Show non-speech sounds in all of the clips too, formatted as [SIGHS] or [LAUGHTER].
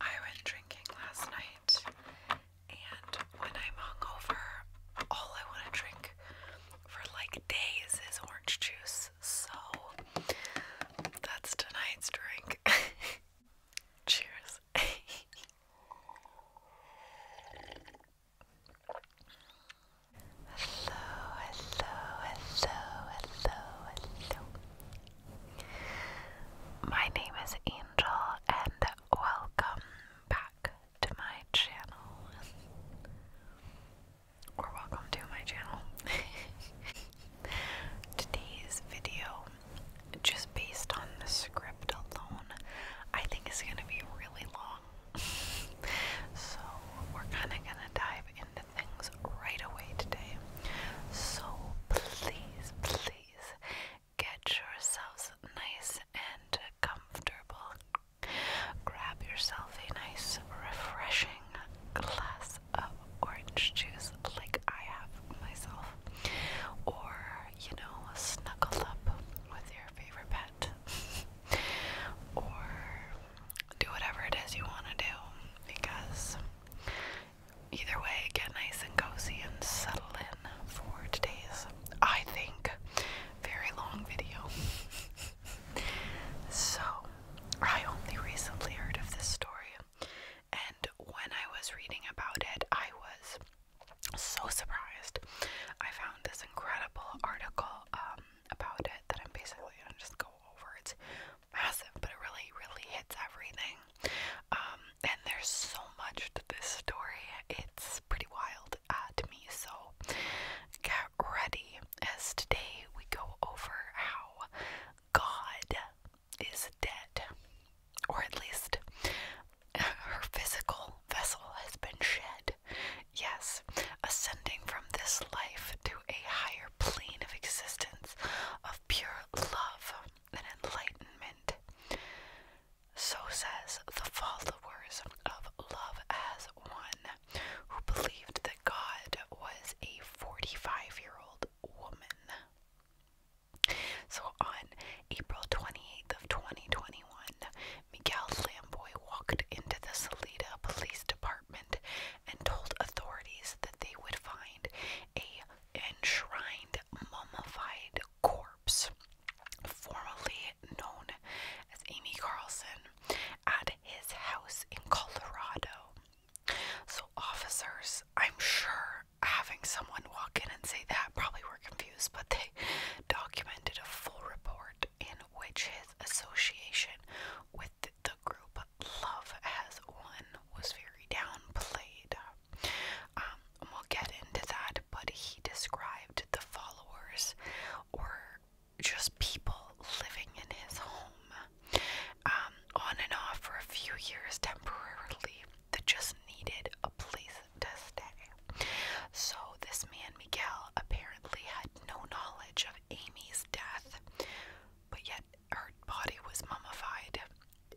I went drinking last night, and when I'm hungover, all I want to drink for like days is orange juice. So that's tonight's drink. [LAUGHS] Cheers. [LAUGHS] Hello, hello, hello, hello, hello. My name is Angel, and welcome back to my channel. Or welcome to my channel. [LAUGHS] Today's video, just based on the script alone, I think is going to be really long. [LAUGHS] so we're kind of going to dive into things right away today. So please, please get yourselves nice and comfortable. Grab yourself a nice, refreshing glass of orange juice, like I have myself, or you know, snuggle up with your favorite pet, [LAUGHS] do whatever it is you want to do because either way, get nice and cozy and settle in for today's, I think, very long video. [LAUGHS] so, I only recently heard of this story, and when I was reading about it, I was so surprised. I found this incredible article um, about it that I'm basically gonna just go over. it massive, but it really, really hits everything. Um, and there's so much to this story, it's pretty wild uh, to me. So get ready as today we go over how God is dead, or at least her physical vessel has been shed. Yes, ascending from this life to a higher plane of existence of pure love and enlightenment. So says the followers of Love as One, who believed that God was a 45 year old woman. So on April 28th of 2021, Miguel Lamboy walked into the Salida Police Department and told authorities that they would find a enshrined mummified corpse formerly known as Amy Carlson at his house in Colorado. So officers, I'm sure having someone walk in and say that probably were confused, but they documented a full report in which his association with the group Love Has Won was very downplayed. Um, and we'll get into that, but he described the followers were just people living in his home um, on and off for a few years temporarily that just needed a place to stay. So, this man Miguel apparently had no knowledge of Amy's death, but yet her body was mummified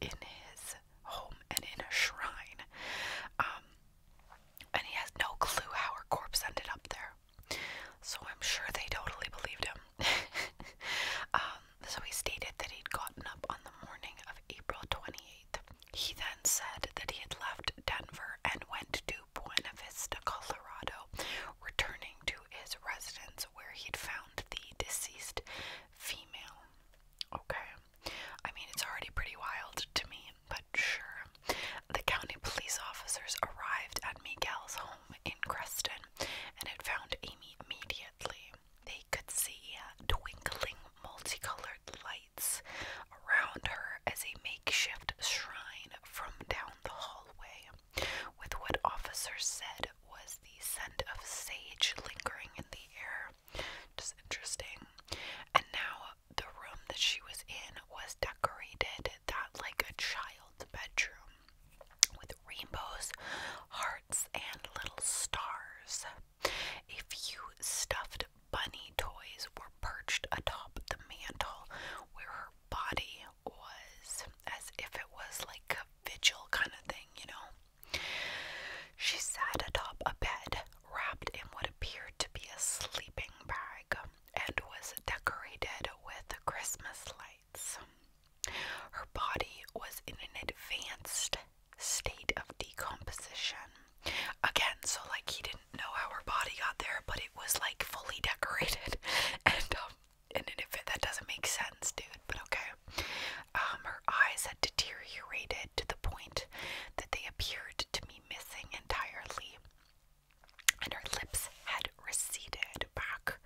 in his home and in a shrine. Um, and he has no clue how her corpse ended up there. So I'm sure they totally believed him. [LAUGHS] Um, so he stated that he'd gotten up on the morning of April 28th. He then said that he had left Denver and went to Buena Vista, Colorado, returning to his residence where he had found the deceased female. Okay. I mean, it's already pretty wild to me, but sure. The county police officers arrived at Miguel's home in Creston and had found Amy immediately. They could see twinkling multicolored lights around her as a makeshift shrine from down the hallway with what officers said was the scent of sage lingering in the air. Just interesting. And now the room that she was in was decorated that like a child's bedroom with rainbows, hearts, and little stars. A few stuffed bunny toys were perched atop the mantle where her body was as if it was like a vigil kind of thing, you know. She sat atop a bed wrapped in what appeared to be a sleeping bag and was decorated with Christmas lights. Her body was in an advanced state of decomposition. Again, so like he didn't know how her body got there, but it was like fully decorated. [LAUGHS] And um, and if it, that doesn't make sense, dude, but okay. Um, her eyes had deteriorated to the point that they appeared to be missing entirely, and her lips had receded back,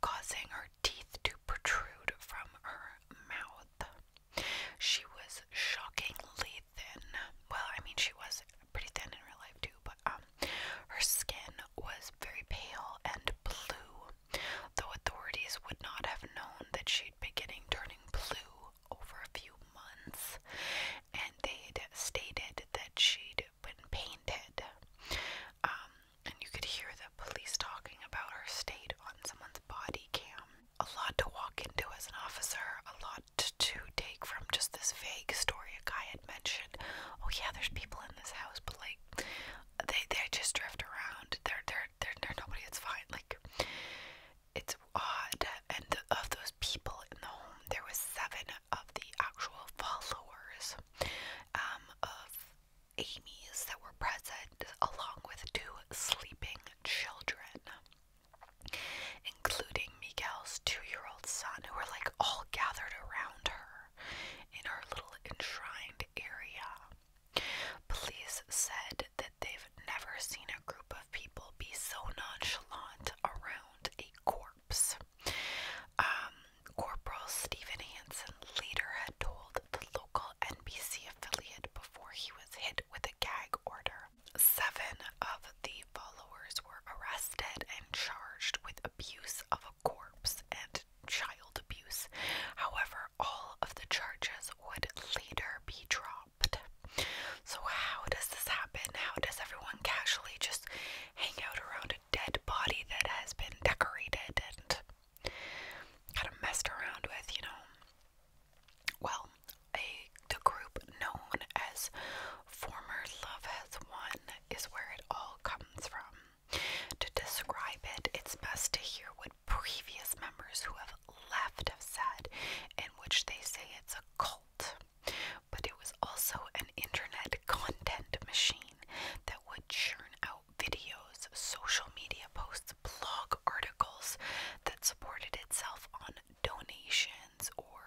causing her teeth to protrude from her mouth. She was shockingly thin. Well, I mean, she was pretty thin in real life too, but um, her skin was very pale and blue, though authorities would not have known that she'd beginning turning blue over a few months, and they'd stated that she'd been painted. Um, and you could hear the police talking about her state on someone's body cam. A lot to walk into as an officer, a lot to, take from just this vague story of guy mentioned, oh yeah, there's people in this house, but like they they just drift around. They're they're they're, nobody. It's fine. Like it's odd. And of those people in the home, there was seven of the actual followers um, of Amy's that were present, along with two sleeping children. Including Miguel's two year old son, who were like all gathered around her in her little enshrined area. Police said that they've never seen a group of people be so nonchalant around a corpse. Um, Corporal Stephen Hansen later had told the local NBC affiliate before he was hit with a gag order. Seven of the followers were arrested and charged with abuse of corpse, and child abuse. However, all of the charges would later be dropped. So, how does this happen? How does everyone casually just hang out around a dead body that has been decorated and kind of messed around with, you know? Well, a, the group known as Former Love Has One is where it all comes from. To describe it, it's best to hear what previous members who have left have said, in which they say it's a cult. But it was also an internet content machine that would churn out videos, social media posts, blog articles that supported itself on donations or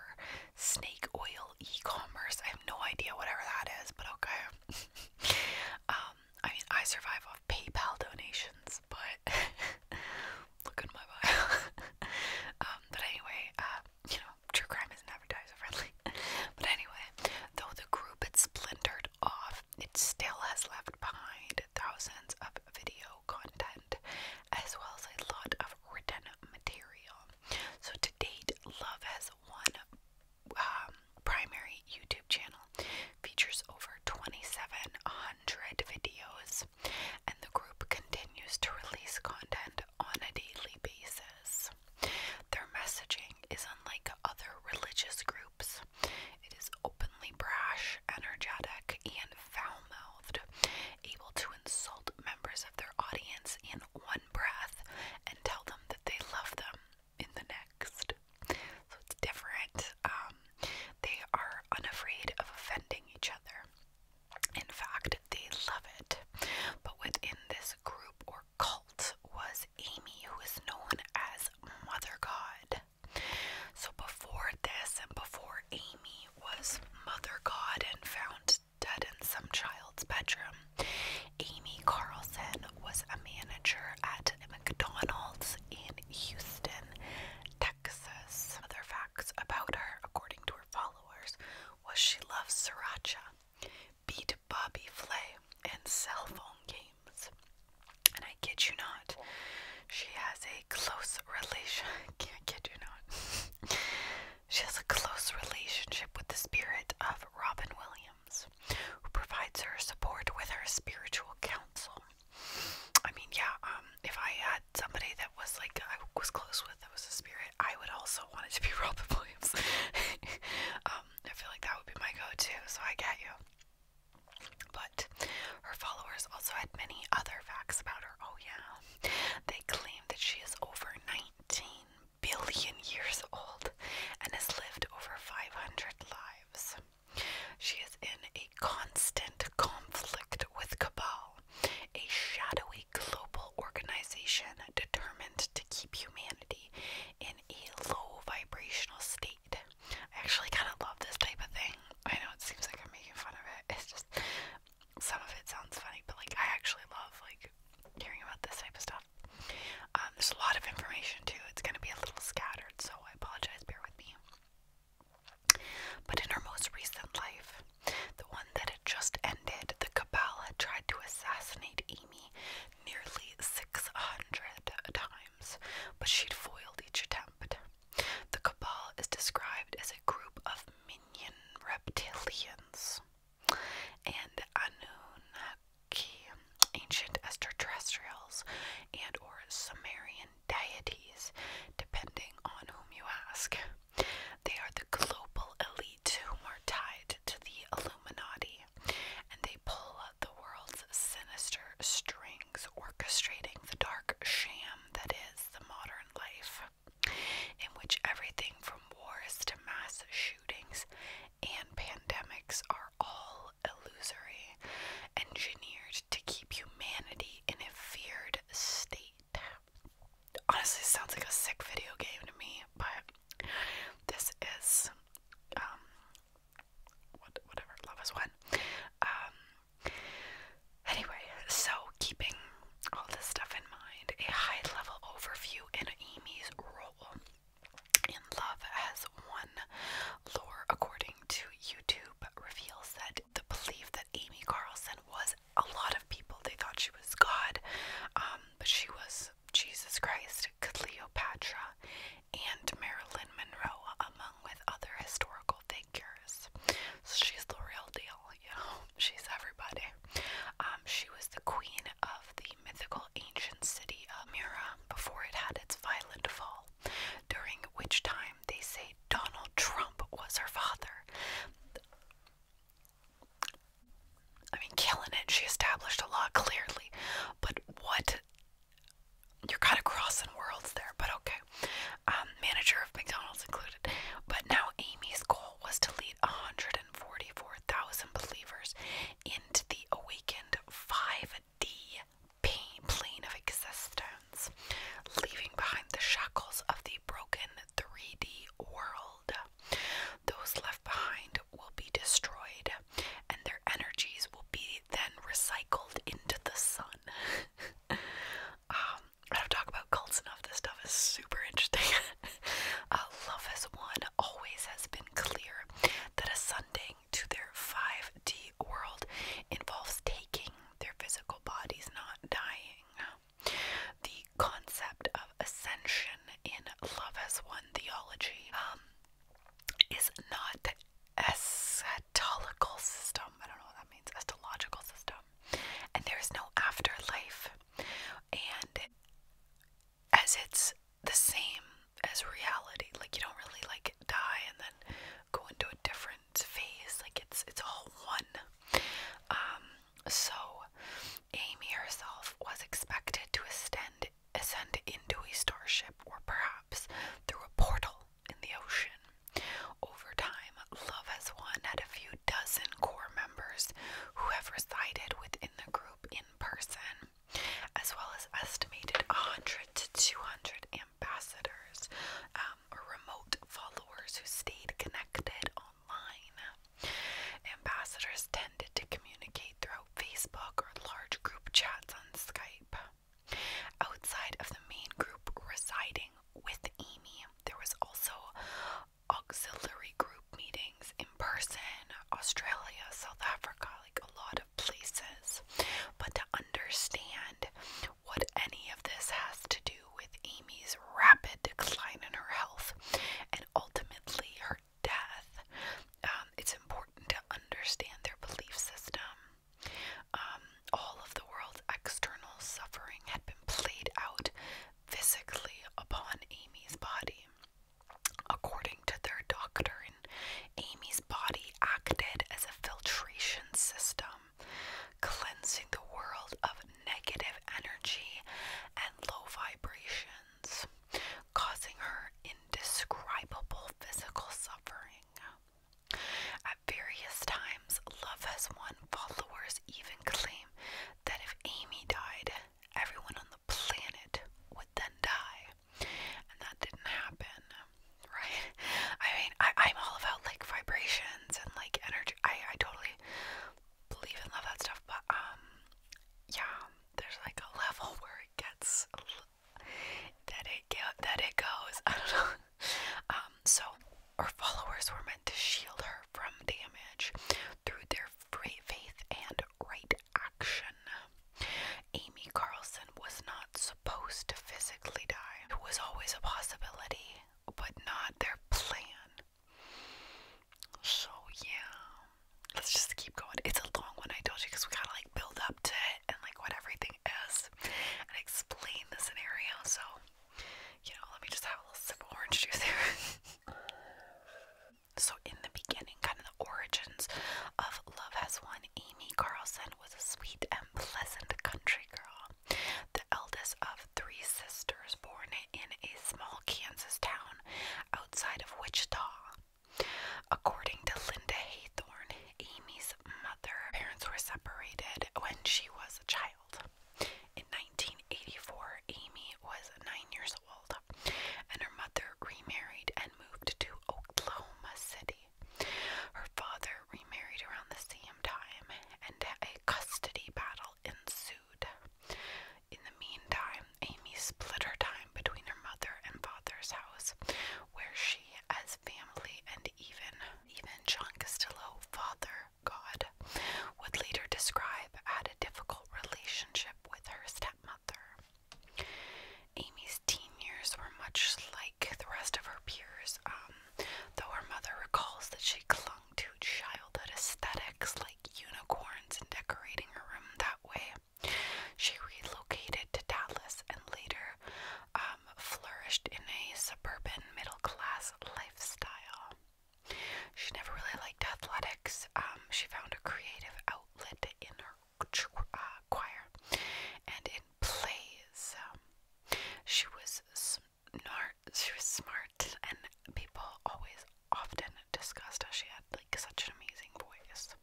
snake oil e commerce. I have no idea whatever that is, but okay. [LAUGHS] um, I mean, I survive off PayPal donations, but [LAUGHS] look at my bio. [LAUGHS] um, but anyway, uh, you know, true crime isn't advertiser friendly. [LAUGHS] but anyway, though the group had splintered off, it still has left behind thousands of video content as well as a lot of written material. So to date, Love has won um, primary YouTube channel features over 2,700 videos, and the group continues to release content on a daily basis. Their messaging is unlike other religious groups, it is openly brash, energetic, and foul mouthed, able to insult members of their audience in one breath and tell them that they love them in the next. So it's different. Um, they are unafraid of offending each other. In fact, they love it. But within this group or cult was Amy, who is known as Mother God. So before this and before Amy was Mother God and found dead in some child's bedroom, Amy Carlson was a manager at McDonald's in Houston, Texas. Other facts about her, according to her followers, was she loves sriracha, beat Bobby Flay, and cell phone games. And I kid you not, she has a close relation. [LAUGHS] can kid you not. [LAUGHS] she has a close relationship with the spirit of Robin Williams who provides her support with her spiritual counsel. I mean, yeah, um, if I had somebody that was like I was close with that was a spirit, I would also want it to be [LAUGHS] Robin Williams. [LAUGHS] Um, I feel like that would be my go to, so I get you. But her followers also had many other facts about her. Oh, yeah. They claim that she is over 19 billion years old and has lived over 500 lives. She is in a constant conflict with Cabal, a shadowy global organization determined to keep humanity in a low vibrational state. I actually kind of love this type of thing. I know it seems like I'm making fun of it. It's just some of it sounds funny, but like I actually love like hearing about this type of stuff. Um, there's a lot of information too. It's going to be a little scattered, so I apologize. Bear with me. But in her most recent life, the one that had just ended, the cabal had tried to assassinate Amy nearly 600 times, but she'd foiled each attempt. The cabal is described as a group of minion reptilians and Anunnaki, ancient extraterrestrials and or Sumerian deities, depending on whom you ask. They are the global elite who are tied to the Illuminati, and they pull the world's sinister strings, orchestrating the dark sham that is the modern life, in which everything from wars to mass shootings shootings, and pandemics are all illusory, engineered to keep humanity in a feared state. Honestly, sounds like a sick video game to me, but this is um whatever love is one. Um anyway, so keeping all this stuff in mind, a high level overview in Amy's role in Love as One lore, according to YouTube, reveals that the belief that Amy Carlson was a lot of people, they thought she was God, um, but she was Jesus Christ, Cleopatra, and Marilyn Monroe, among with other historical figures. So she's the real deal, you know, [LAUGHS] she's everybody. Um, she was the queen of the mythical ancient city of Mura before it had its violent fall, during which time they say Donald Trump was her father. I mean, killing it. She established a law clearly, but what? You're kind of crossing worlds there, but okay. Um, manager of McDonald's included. But now Amy's goal was to lead 144,000 believers into the awakened 5D plane of existence, leaving behind the shackles of the broken 3D world. Those left behind will be destroyed, and their energies will be then recycled into the sun. [LAUGHS] Um, I don't talk about cults enough. This stuff is super interesting. [LAUGHS] Uh, love is one always has been clear that ascending to their 5D world involves taking their physical bodies, not dying. The concept of ascension in love as one theology um, is not the eschatological system. I don't know what that means, eschatological system. And there is no afterlife. And as it's the same as reality. Like you don't really like die and then go into a different phase. Like it's it's all one. Um, so Amy herself was expected to ascend ascend into a starship or perhaps through a portal in the ocean. Over time, Love Has Won had a few dozen core members who have resided within the group in person as well as estimated 100 to 200 ambassadors or um, remote followers who stayed connected online. Ambassadors tended to communicate throughout Facebook or large group chats on Skype. Outside of the main group residing with Amy, there was also auxiliary group meeting in person, Australia, South Africa, like a lot of places. But to understand what any of this has to do with Amy's rapid decline in her health and ultimately her death, um, it's important to understand their belief system. Um, all of the world's external suffering had been played out physically upon Amy's body. According to their doctrine, Amy's body acted as a filtration system, cleansing the world of negative energy and low vibrations, causing her indescribable physical suffering. At various times, Love Has Won followers even claim that if Amy died, everyone on the planet would then die and that didn't happen, right? I mean, I, am all about like vibrations and like energy. I, I totally believe in love that stuff, but um, yeah, there's like a level [LAUGHS] where it gets that it get, that it goes. I don't know. Um, so her followers were meant to shield her from damage through their free faith and right action. Amy Carlson was not supposed to physically die. It was always a possibility, but not their plan. So, yeah. Let's just keep going. It's a long one, I told you, because we gotta like build up to it and like what everything is and explain the scenario. So, you know, let me just have a little sip of orange juice here. [LAUGHS] So, in the beginning, kind of the origins of Love Has Won, Amy Carlson was a sweet and pleasant country girl, the eldest of three sisters born in a small Kansas town outside of Wichita. According to Linda Haythorne, Amy's mother, parents were separated when she was a child. In 1984, Amy was nine years old and her mother remarried and moved to Oklahoma City. Her father remarried around the same time, and a custody battle ensued. In the meantime, Amy split her time between her mother and father's house, where she, as family, and even even John Castillo, father God, would later describe had a difficult relationship with her stepmother. Amy's teen years were much like the rest of her peers, um, though her mother recalls that she clung to childhood aesthetics like unicorns and decorating her room that way. She relocated to Dallas and later um, flourished in a suburban middle class lifestyle. She never really liked athletics. Um, she found a creative outlet in her uh, choir and in plays. Um, she was smart. She was smart, and people always often discussed how she had like such an amazing voice.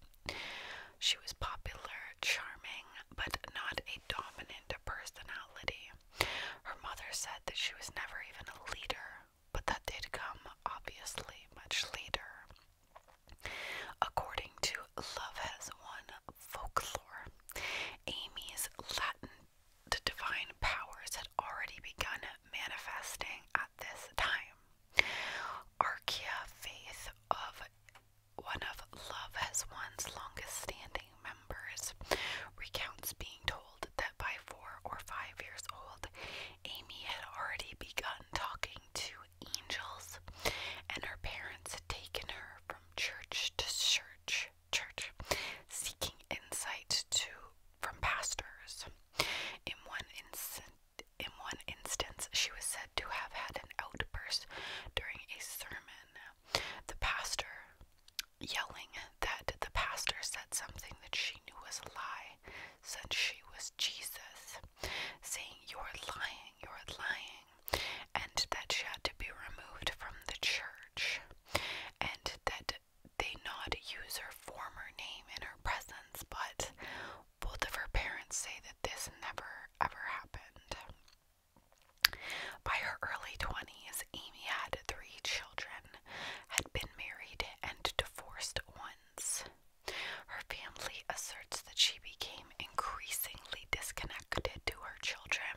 She was popular, charming, but not a dominant personality. Her mother said that she was never even a leader, but that did come obviously much later. According to Love Has Won folklore, Amy's Latin divine powers had already begun manifesting at this time. Archaea faith of one of Love Has One's longest standing members recounts being told that by four or five years old, Amy had already begun talking to angels, and her parents had taken her from church to church, church, seeking insight to from pastors. In one instant, in one instance, she was said to have had an outburst during a sermon. The pastor yelling that the pastor said something that she knew was a lie, since she was Jesus saying, You're lying, you're lying, and that she had to be removed from the church, and that they not use her former name in her presence, but both of her parents say that this never ever happened. By her early 20s, Amy had three children, had been married and divorced once. Her family asserts that she became increasingly disconnected to her children.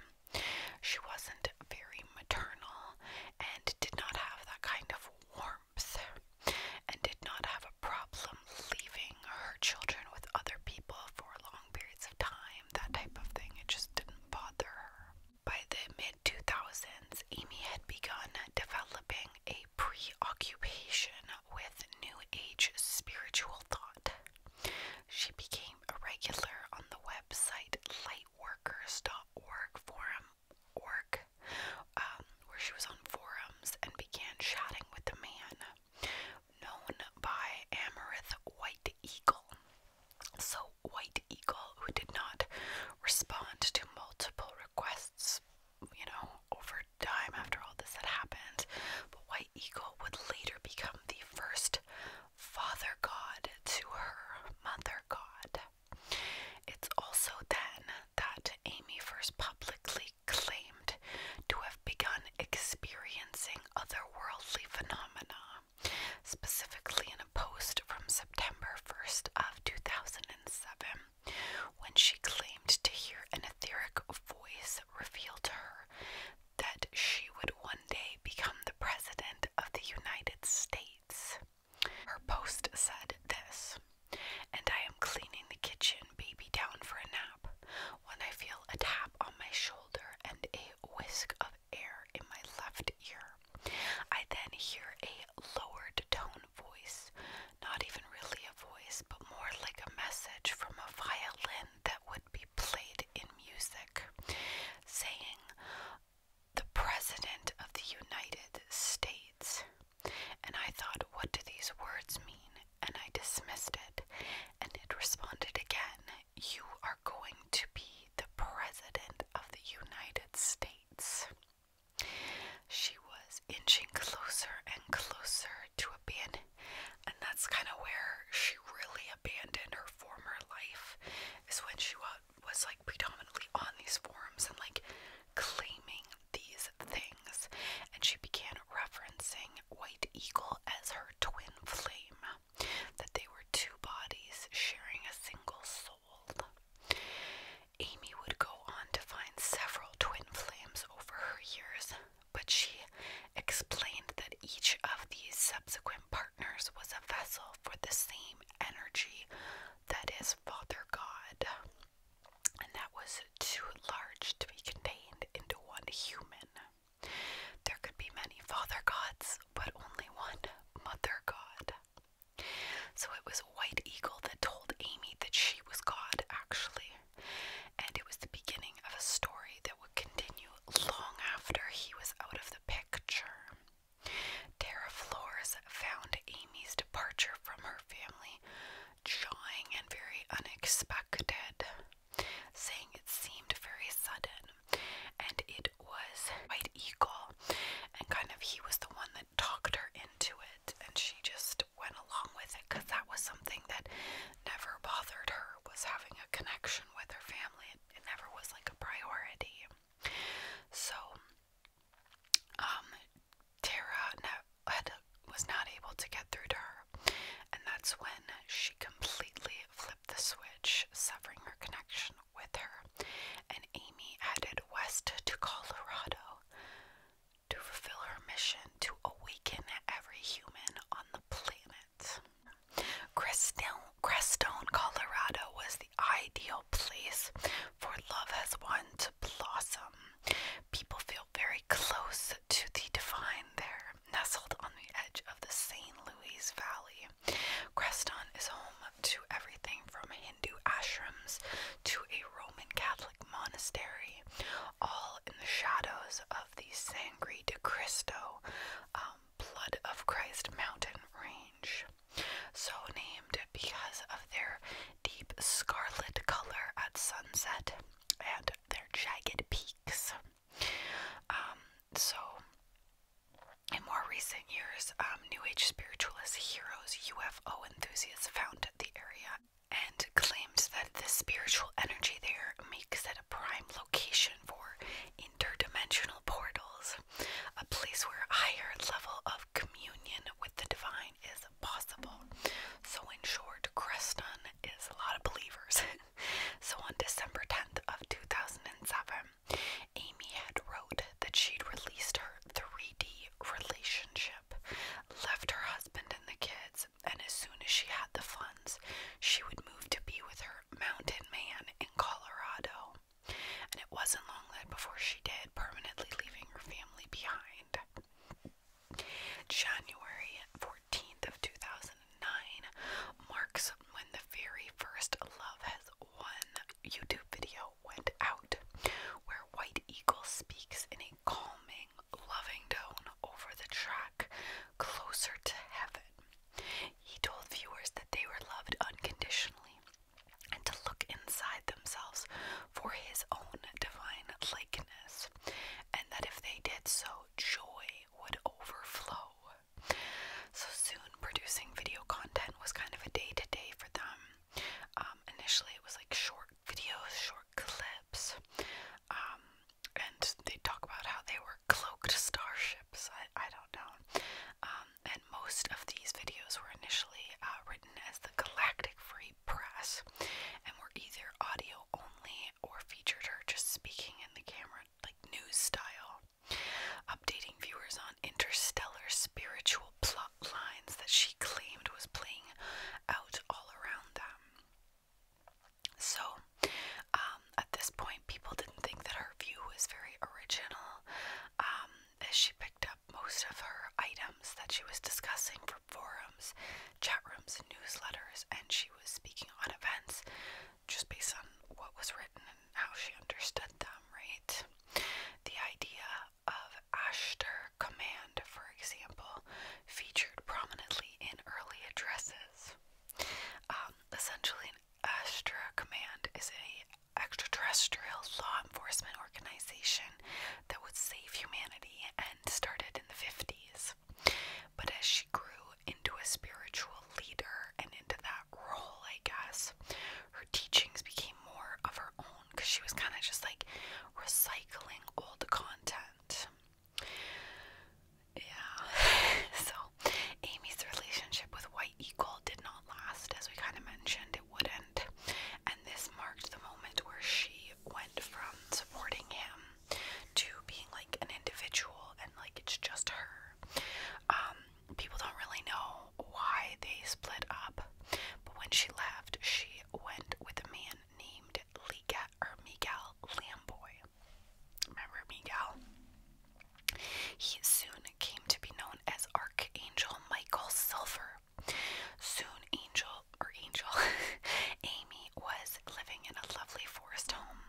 She wasn't very maternal and did not have that kind of warmth and did not have a problem leaving her children with other people for long periods of time, that type of thing. It just didn't bother her. By the mid 2000s, Amy had begun developing a preoccupation with New Age spiritual thought. She became a regular on the website lightworkers.org forum org, um, where she was on forums and began chatting with the man known by Amarith White Eagle. So White Eagle, who did not respond to multiple requests you know, over time after all this had happened. But White Eagle would later become the first father god to her mother god. It's also then that Amy first publicly claimed to have begun experiencing otherworldly phenomena, specifically in a post from September 1st of 2007 when she claimed to hear an etheric voice reveal to her that she would one day become the President of the United States. Her post said this And I am cleaning the kitchen, baby, down for a nap, when I feel a tap on my shoulder and a whisk of air in my left ear. I then hear a lowered tone voice not even really a voice, but more like a message from a violin that would be played in music, saying, The President of the United States. And I thought, What do these words mean? And I dismissed it, and it responded again, You are going to be the President of the United States. She was inching closer and closer to a abandon, and that's kind of where she really abandoned her former life. Is when she was like predominantly on these forums and like claiming these things, and she began referencing White Eagle as her twin flame, that they were two bodies sharing a single soul. Amy would go on to find several twin flames over her years, but she explained that each of these subsequent partners was a vessel for the same energy that is Father God, and that was too large to be contained into one human. There could be many Father Gods, but only one Mother God. So it was White Eagle that told Amy that she was God, actually and it was the beginning of a story that would continue long after he was out of the picture. Tara Flores found Amy's departure from her family jarring and very unexpected, saying it seemed very sudden, and it was White Eagle, and kind of he was the one that talked her into it, and she just went along with it because that was something that never bothered her was having a connection with her family. It, never was like a priority. So, um, Tara had, was not able to get through to her, and that's when she completely flipped the switch, severing her connection with her. And Amy headed west to Colorado to fulfill her mission to awaken every human on the planet. Crestone, Colorado was the ideal place for love as one to blossom. People feel very close to the divine there, nestled on the edge of the St. Louis Valley. Creston is home to everything from Hindu ashrams to a Roman Catholic monastery, all in the shadows of the Sangre de Cristo, um, Blood of Christ mountain range. So named because of their deep scarlet color at sunset and their jagged peaks. Um, so, in more recent years, um, New Age spiritualists, heroes, UFO enthusiasts found the area and claims that the spiritual energy there makes it a prime location for interdimensional portals, a place where higher level of communion with the divine is possible. So, in short, Creston is a lot of believers. [LAUGHS] so, on December 10th of 2007, Amy had wrote that she'd released her 3D relationship, left her husband and the kids, and as soon as she had the funds, she would move to be with her mountain man in Colorado. And it wasn't long that before she did, permanently leaving her family behind. January 14th of 2009 marks when the very first Love Has Won YouTube video went out, where White Eagle speaks in a calming, loving tone over the track, Closer to Heaven. He told viewers that they were loved unconditionally and to look inside themselves for his own divine likeness, and that if they did so, joy would overflow. So soon, producing video content was kind of a day to day for them. Um, initially, it was like short videos, short clips, um, and they talk about how they were cloaked starships. I, don't know. Um, and most of these videos were initially uh, written as the Galactic Free Press and were either audio only or featured her just speaking in the camera, like news style, updating viewers on interstellar spiritual plot lines that she claimed was playing out all around them. So, um, at this point, people didn't think that her view was very original, um, as she picked up most of her items that she was discussing from forums, chat rooms, and newsletters, and she was speaking on events just based on what was written and how she understood them, right? The idea of Ashtar command for example, featured prominently in early addresses. Um, essentially, an Astra Command is a extraterrestrial law enforcement organization that would save humanity and started in the 50s. But as she grew into a spiritual leader and into that role, I guess, her teachings became more of her own because she was kind of just like recycling old content. Yeah. [LAUGHS] so, Amy's relationship with White Eagle did not last, as we kind of mentioned, it wouldn't. And this marked the moment where she went from supporting him to being like an individual and like it's just her. Um, people don't really know why they split up, but when she left, she went with a man named Lika or Miguel Lamboy. Remember Miguel? He soon came to be known as Archangel Michael Silver. Soon, Angel or Angel [LAUGHS] Amy was living in a lovely forest home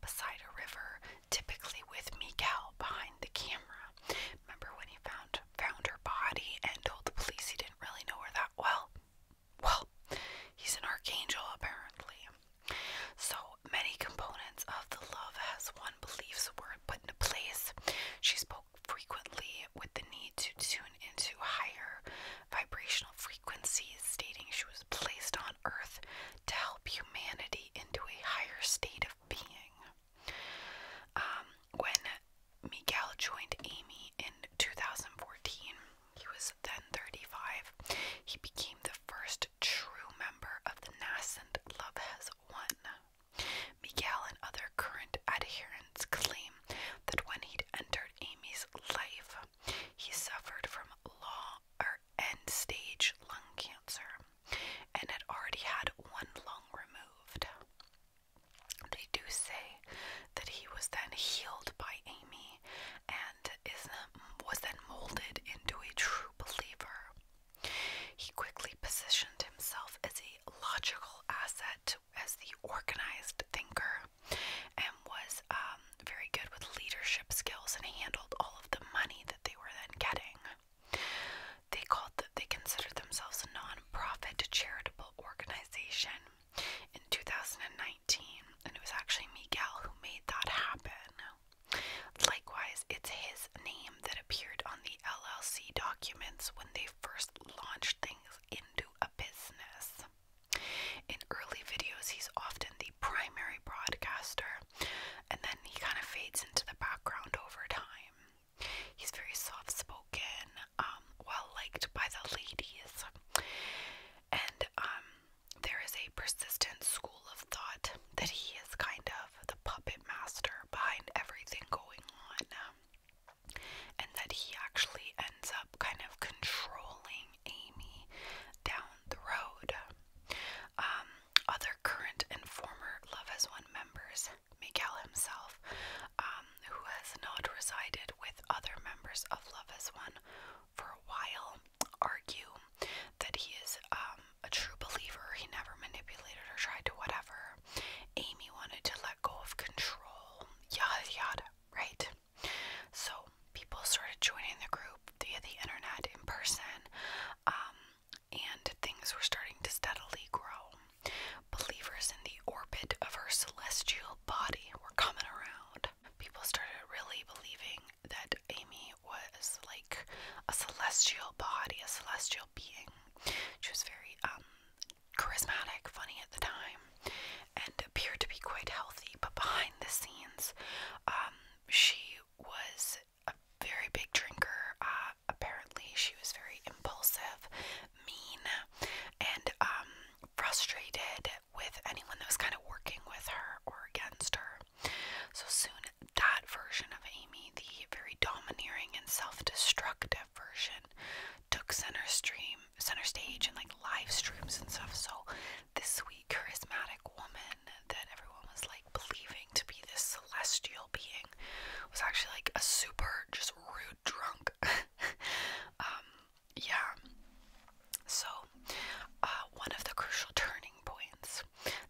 beside a river, typically with Miguel behind the camera. Remember when he found found her body and told the police he didn't really know her that well? Well, he's an archangel apparently. So many components of the love has one beliefs were put into place. She spoke frequently with the need to tune into higher vibrational frequencies, stating she was placed on earth to help humanity into a higher state of being. Um, when Miguel joined Amy in 2014, he was then 35. He became the first true member of the nascent Love Has Won. Miguel and other current adherents claim that when he'd entered Amy's life, he suffered from law stage lung cancer and had already had one lung removed. They do say that he was then healed by Amy and is, was then molded into a true believer. He quickly positioned himself as a logical asset, as the organized thinker, and was um, very good with leadership skills and handled all of the money that they were then getting. They called the, they considered themselves a non-profit charitable organization in 2019, and it was actually Miguel who made that happen. Likewise, it's his name that appeared on the LLC documents when they first launched things into a business. In early videos, he's often the primary broadcaster, and then he kind of fades into the background over time. He's very soft spoken, um, well liked by the ladies. And um, there is a persistent school of thought that he is kind of the puppet master behind everything going on, um, and that he actually ends up kind of controlling Amy down the road. Um, other current and former Love Has One members, Miguel himself, who has not resided with other members of Love as One for a while, argue that he is um, a true believer. He never manipulated or tried to whatever. Amy wanted to let go of control, yada yada, right? So people started joining the group via the internet in person, um, and things were starting to steadily grow. Believers in the orbit of her celestial body were coming around. People started really believing that Amy was like a celestial body, a celestial being. She was very um, charismatic, funny at the time, and appeared to be quite healthy, but behind the scenes, um, she was a very big drinker. Uh, apparently, she was very impulsive, mean, and um, frustrated with anyone that was kind of working with her or against her. So soon, that version of Amy, the very domineering and self-destructive version, took center stream, center stage, and like live streams and stuff. So this sweet, charismatic woman that everyone was like believing to be this celestial being was actually like a super, just rude drunk. [LAUGHS] Um, yeah. So, uh, one of the crucial turning points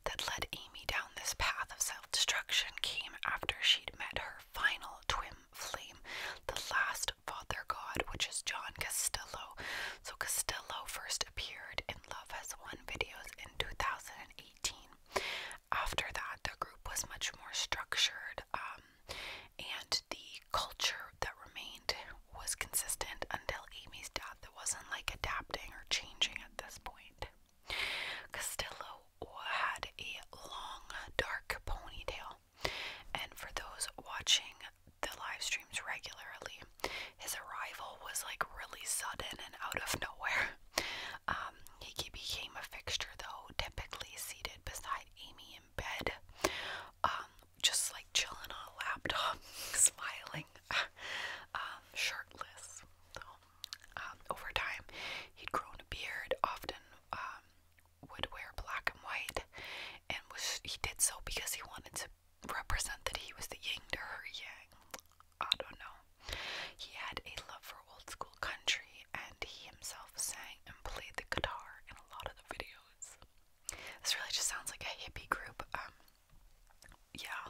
that led Amy down this path of self destruction came after she'd met her final twin flame, the last father god, which is John Castillo. So, Castillo first appeared in Love Has Won videos in 2018. After that, the group was much more structured. Um, and the culture that remained was consistent until Amy's death. It wasn't like adapting or changing at this point. Castillo had a long, dark ponytail, and for those watching the live streams regularly, his arrival was like really sudden and out of [LAUGHS] nowhere. Um, he became a fixture, though, typically seated beside Amy in bed, um, just like chilling on a laptop, [LAUGHS] smiling, [LAUGHS] um, shirtless. So, um, over time, he'd grown a beard, often would wear black and white, and was he did so because he wanted to represent that he was the yin to her yang. I don't know. He had a love for old school country, and he himself sang and played the guitar in a lot of the videos. This really just sounds like a hippie group. Um, yeah,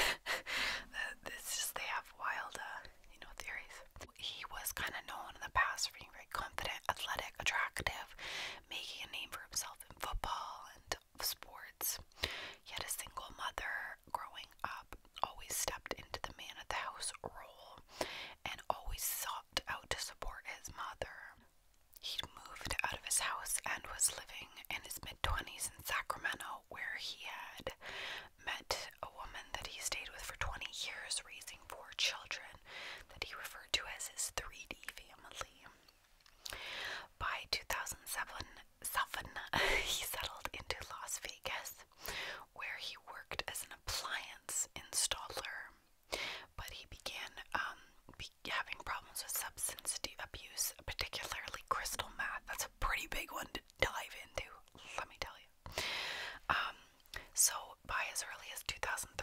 [LAUGHS] uh, it's just they have wild, uh, you know, theories. He was kind of known in the past for being very confident, athletic, attractive, making a name for himself in football and sports. He had a single mother growing up, always stepped into the man of the house role, and always sought out to support his mother. He'd moved out of his house and was living in his mid 20s in Sacramento, where he had met a woman that he stayed with for 20 years, raising four children that he referred to as his 3D family. By 2007, [LAUGHS] he settled into Las Vegas, where he worked as an appliance installer but he began um, having problems with substance abuse, particularly crystal meth. That's a pretty big one to dive into, let me tell you. Um, so, by as early as 2013,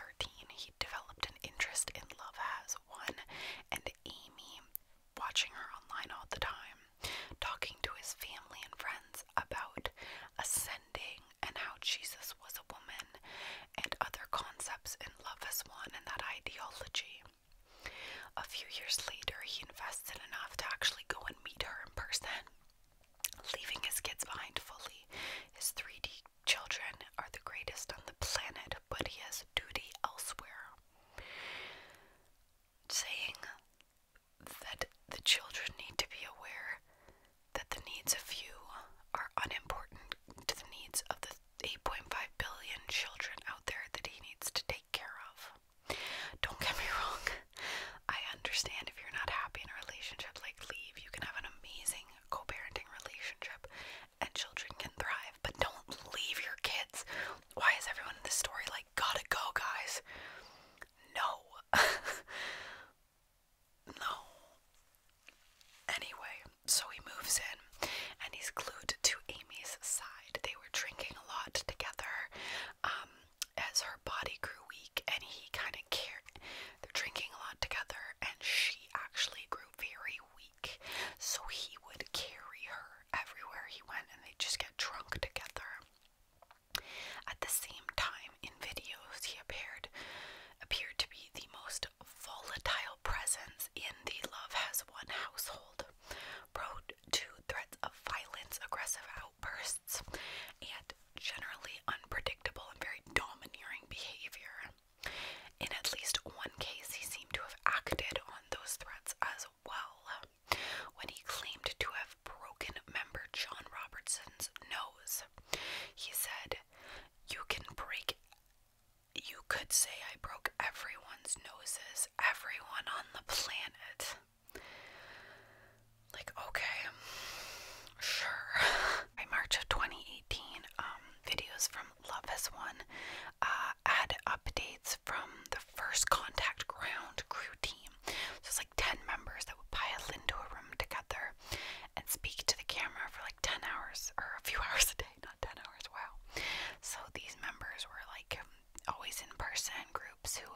he developed an interest in Love Has One and Amy, watching her online all the time, talking to his family and friends about ascending and how Jesus was a woman and other concepts in Love as One and that ideology. A few years later, he invested enough to actually go and meet her in person, leaving his kids behind fully. His 3D children are the greatest on the planet, but he has duty elsewhere. Saying that the children need to be aware that the needs of you are unimportant to the needs of the 8.5 billion children out there that he needs to take care of. Don't get me wrong, I understand if you're not happy in a relationship, like leave. You can have an amazing co parenting relationship and children can thrive, but don't leave your kids. Why is everyone in this story like, gotta go, guys? No. [LAUGHS] No. Anyway, so he moves in and he's glued to Amy's side. They were drinking a lot together um, as her body grew weak, and he kind of cared. They're drinking a lot together, and she actually grew very weak. So he would carry her everywhere he went, and they just get drunk together. At the same time, in videos, he appeared appeared to be the most volatile presence in the Love Has One household, prone to threats of violence, aggressive outbursts, and generally unpredictable and very domineering behavior. In at least one case, he seemed to have acted on those threats as well when he claimed to have broken member John Robertson's nose. He said you can break you could say I broke everyone's noses, everyone on the planet. Like, okay, sure. By [LAUGHS] March of 2018, um, videos from Love Has One uh, had updates from the first contact ground crew team. So it's like 10 members that would pile into a room together and speak to the camera for like 10 hours or a few [LAUGHS] hours a day, not 10 hours, wow. So these members were like always in person groups who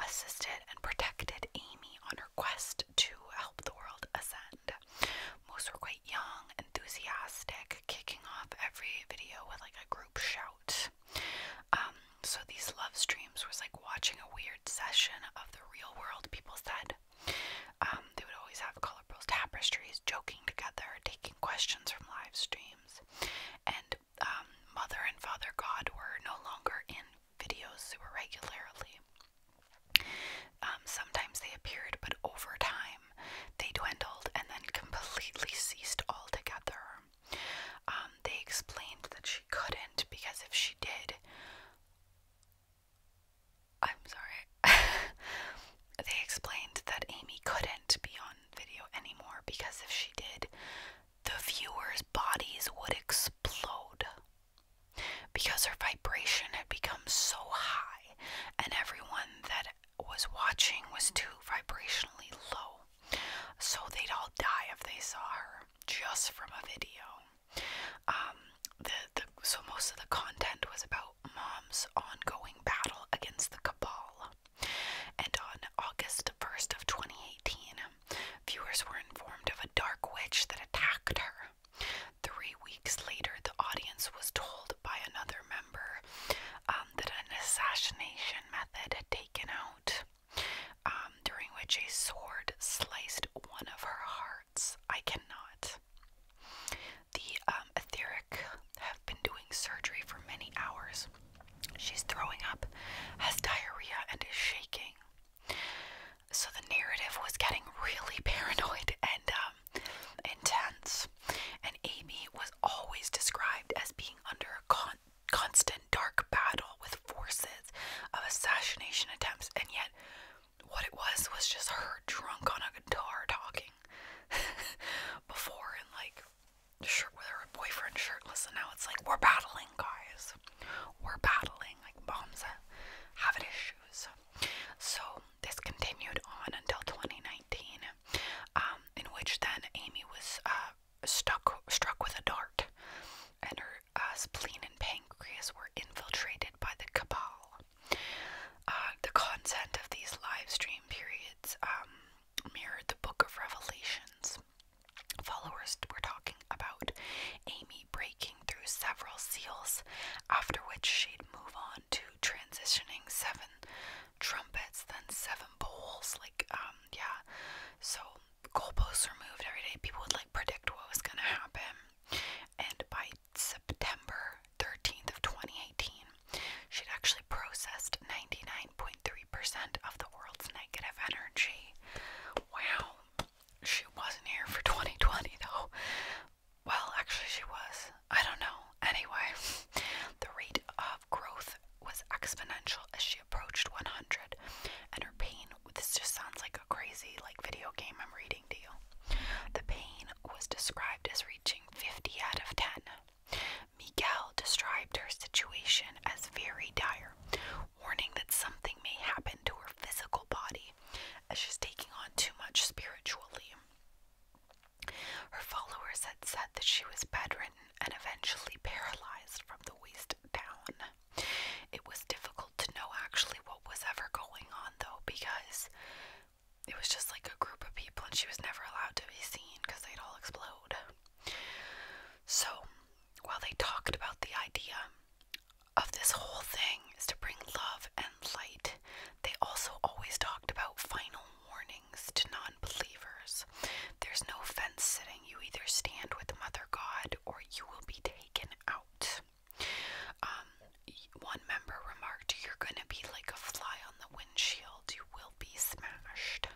assisted and protected Amy on her quest to help the world ascend. Most were quite young, enthusiastic, kicking off every video with like a group shout. Um, so these love streams was like watching a weird session of the real world, people said, um, they would always have colorful tapestries, joking together, taking questions from live streams. And um, Mother and Father God were no longer in videos super regularly. Um, sometimes they appeared, but over time they dwindled and then completely ceased altogether. they explained that she couldn't because if she did, I'm sorry. [LAUGHS] they explained that Amy couldn't be on video anymore because if she did, the viewers' bodies would explode because her vibration had become so high, and everyone that was watching was too vibrationally low. So they'd all die if they saw her just from a video. Um, so most of the content was about mom's ongoing battle against the cabal. And on August 1st of 2018, viewers were informed of a dark witch that attacked her. Three weeks later, the audience was told by another member um, that an assassination method had taken out, um, during which a sword sliced one of her heart. I cannot. The um, etheric have been doing surgery for many hours. She's throwing up, has diarrhea, and is shaking. So the narrative was getting really [LAUGHS] paranoid and um, intense. And Amy was always described as being under a constant dark battle with forces of assassination attempts, and yet what it was was just her drunk on a guitar talking [LAUGHS] before and like shirt with her boyfriend shirtless and now it's like we're battling guys we're battling like bombs have it issues so this continued on until 2019 um, in which then Amy was uh, stuck struck with a dart and her uh, spleen and pancreas were infiltrated by the cabal uh, the content of these live stream periods um, mirrored the Book of Revelations. Followers were talking about Amy breaking through several seals, after which she'd move on to transitioning seven trumpets, then seven bowls. Like, um, yeah. So goalposts moved every day. People would like predict what was gonna happen, and by September 13th of 2018, she'd actually processed 99.3% of the world's negative energy. Wow. She wasn't here for 2020 though. Well, actually she was. I don't know. Anyway, the rate of growth was exponential as she approached 100 and her pain this just sounds like a crazy like video game I'm reading the pain was described as reaching 50 out of 10. Miguel described her situation as very dire, warning that something may happen to her physical body as she's taking on too much spiritually. Her followers had said that she was bedridden and eventually paralyzed from the waist down. It was difficult to know actually what was ever going on, though, because it was just like a group of people, and she was never allowed to be seen because they'd all explode. So, while they talked about the idea of this whole thing is to bring love and light, they also always talked about final warnings to non believers. There's no fence sitting, you either stand with Mother God or you will be taken out. Um, one member remarked, You're gonna be like a fly on the windshield, you will be smashed.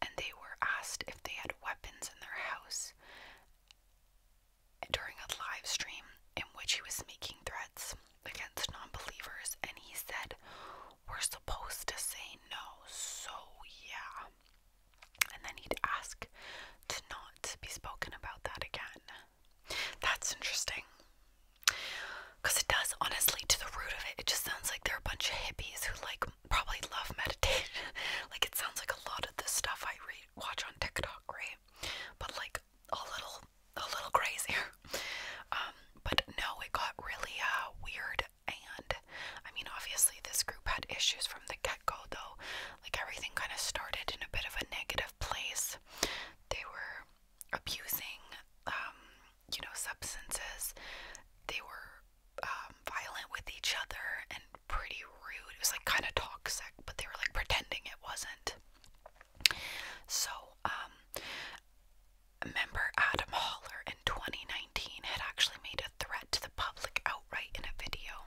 And they were asked if they had weapons in their house during a live stream in which he was making threats against non believers, and he said, We're supposed to say no, so yeah. And then he'd ask to not be spoken about that again. That's interesting. Because it does, honestly, to the root of it, it just sounds like they're a bunch of hippies who, like, probably love [LAUGHS] meditation. like, it sounds like a lot of the stuff I read, watch on TikTok, right? But, like, a little, a little crazier. [LAUGHS] Um, but no, it got really, uh, weird. And, I mean, obviously, this group had issues from the get go, though. Like, everything kind of started in a bit of a negative place. They were abusing, um, you know, substances. They were um, violent with each other and pretty rude. It was like kind of toxic, but they were like pretending it wasn't. So, um, member Adam Holler in 2019 had actually made a threat to the public outright in a video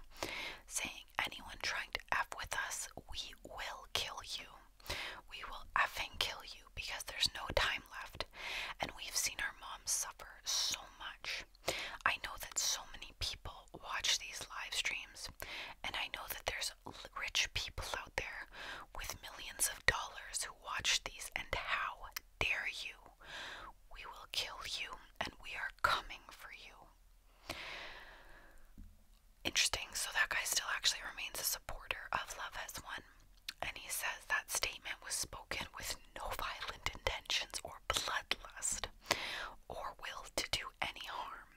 saying anyone trying to F with us, we will kill you. We will effing kill you because there's no time left. And we've seen our moms suffer so much. I know that so many people watch these live streams, and I know that there's rich people out there with millions of dollars who watch these, and how dare you? We will kill you, and we are coming for you. Interesting. So that guy still actually remains a supporter of Love as one, And he says that statement was spoken with no violent intentions or bloodlust or will to do any harm,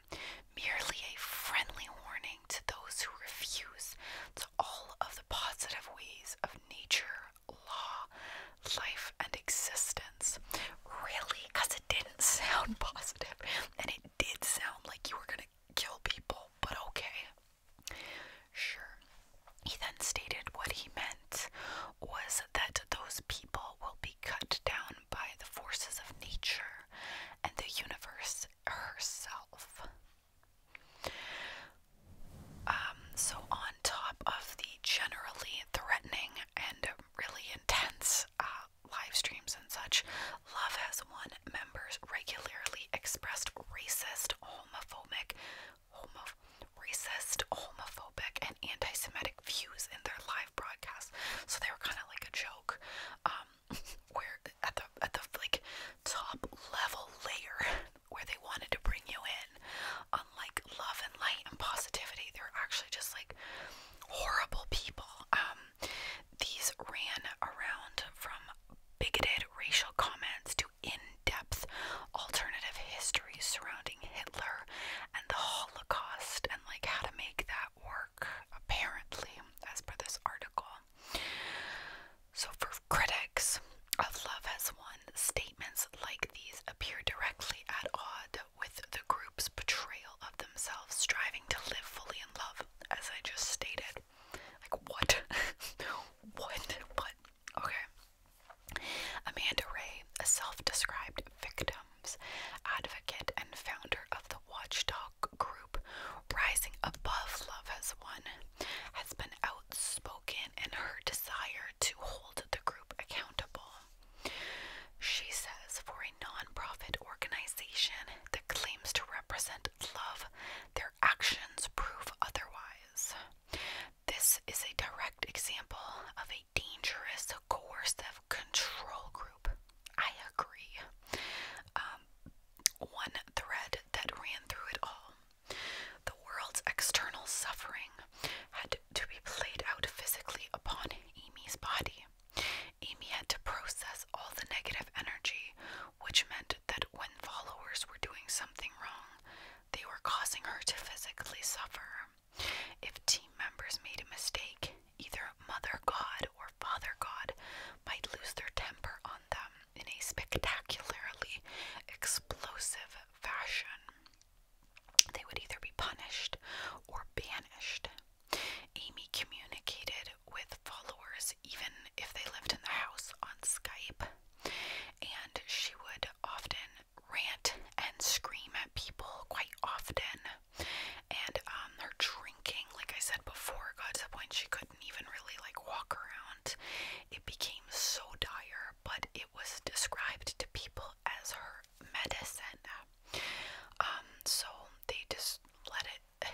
merely a friendly warning to those who refuse to all of the positive ways of nature, law, life, and existence. Really? Because didn't [LAUGHS] sound positive and it did sound like you were gonna kill people, but okay. Sure. He then stated what he meant was that those people will be cut down by the forces of nature and the universe herself. Um, so, on top of the generally threatening and really intense uh, live streams and such, Love Has one members regularly expressed racist, homophobic, racist, homophobic, and anti-Semitic views in their live broadcasts. So they were kind of like a joke, um, [LAUGHS] where at the at the like top level layer where they wanted to bring you in on like love and light and positivity. They are actually just like horrible people. Um, um, these ran around from bigoted racial comments to in depth alternative histories surrounding Hitler and the Holocaust and like how to make that work, apparently, as per this article. So, for critics of Love Has Won, statements like these appear directly at odds with the group's portrayal of themselves, striving to live fully in love, as I just stated. Like, what? [LAUGHS] what? What? Okay. Amanda Ray, a self described victims advocate and founder of the Watchdog Group, Rising Above Love as One, has been outspoken in her desire to hold the group accountable. She says for a non-profit organization that claims to represent love, their actions prove otherwise. This is a direct example of a dangerous, coercive control group. I agree. Um, one thread that ran through it all the world's external suffering had to be played out physically upon Amy's body. Amy had to process all the negative energy, which meant that when followers were doing something wrong, they were causing her to physically suffer. If team members made a mistake, either Mother God or Father God might lose their temper on them in a spectacularly explosive fashion. They would either be punished or banished Amy communicated with followers even if they lived in the house on Skype, and she would often rant and scream at people quite often. And um, her drinking, like I said before, got to the point she couldn't even really like walk around. It became so dire, but it was described to people as her medicine. Um, so they just let it.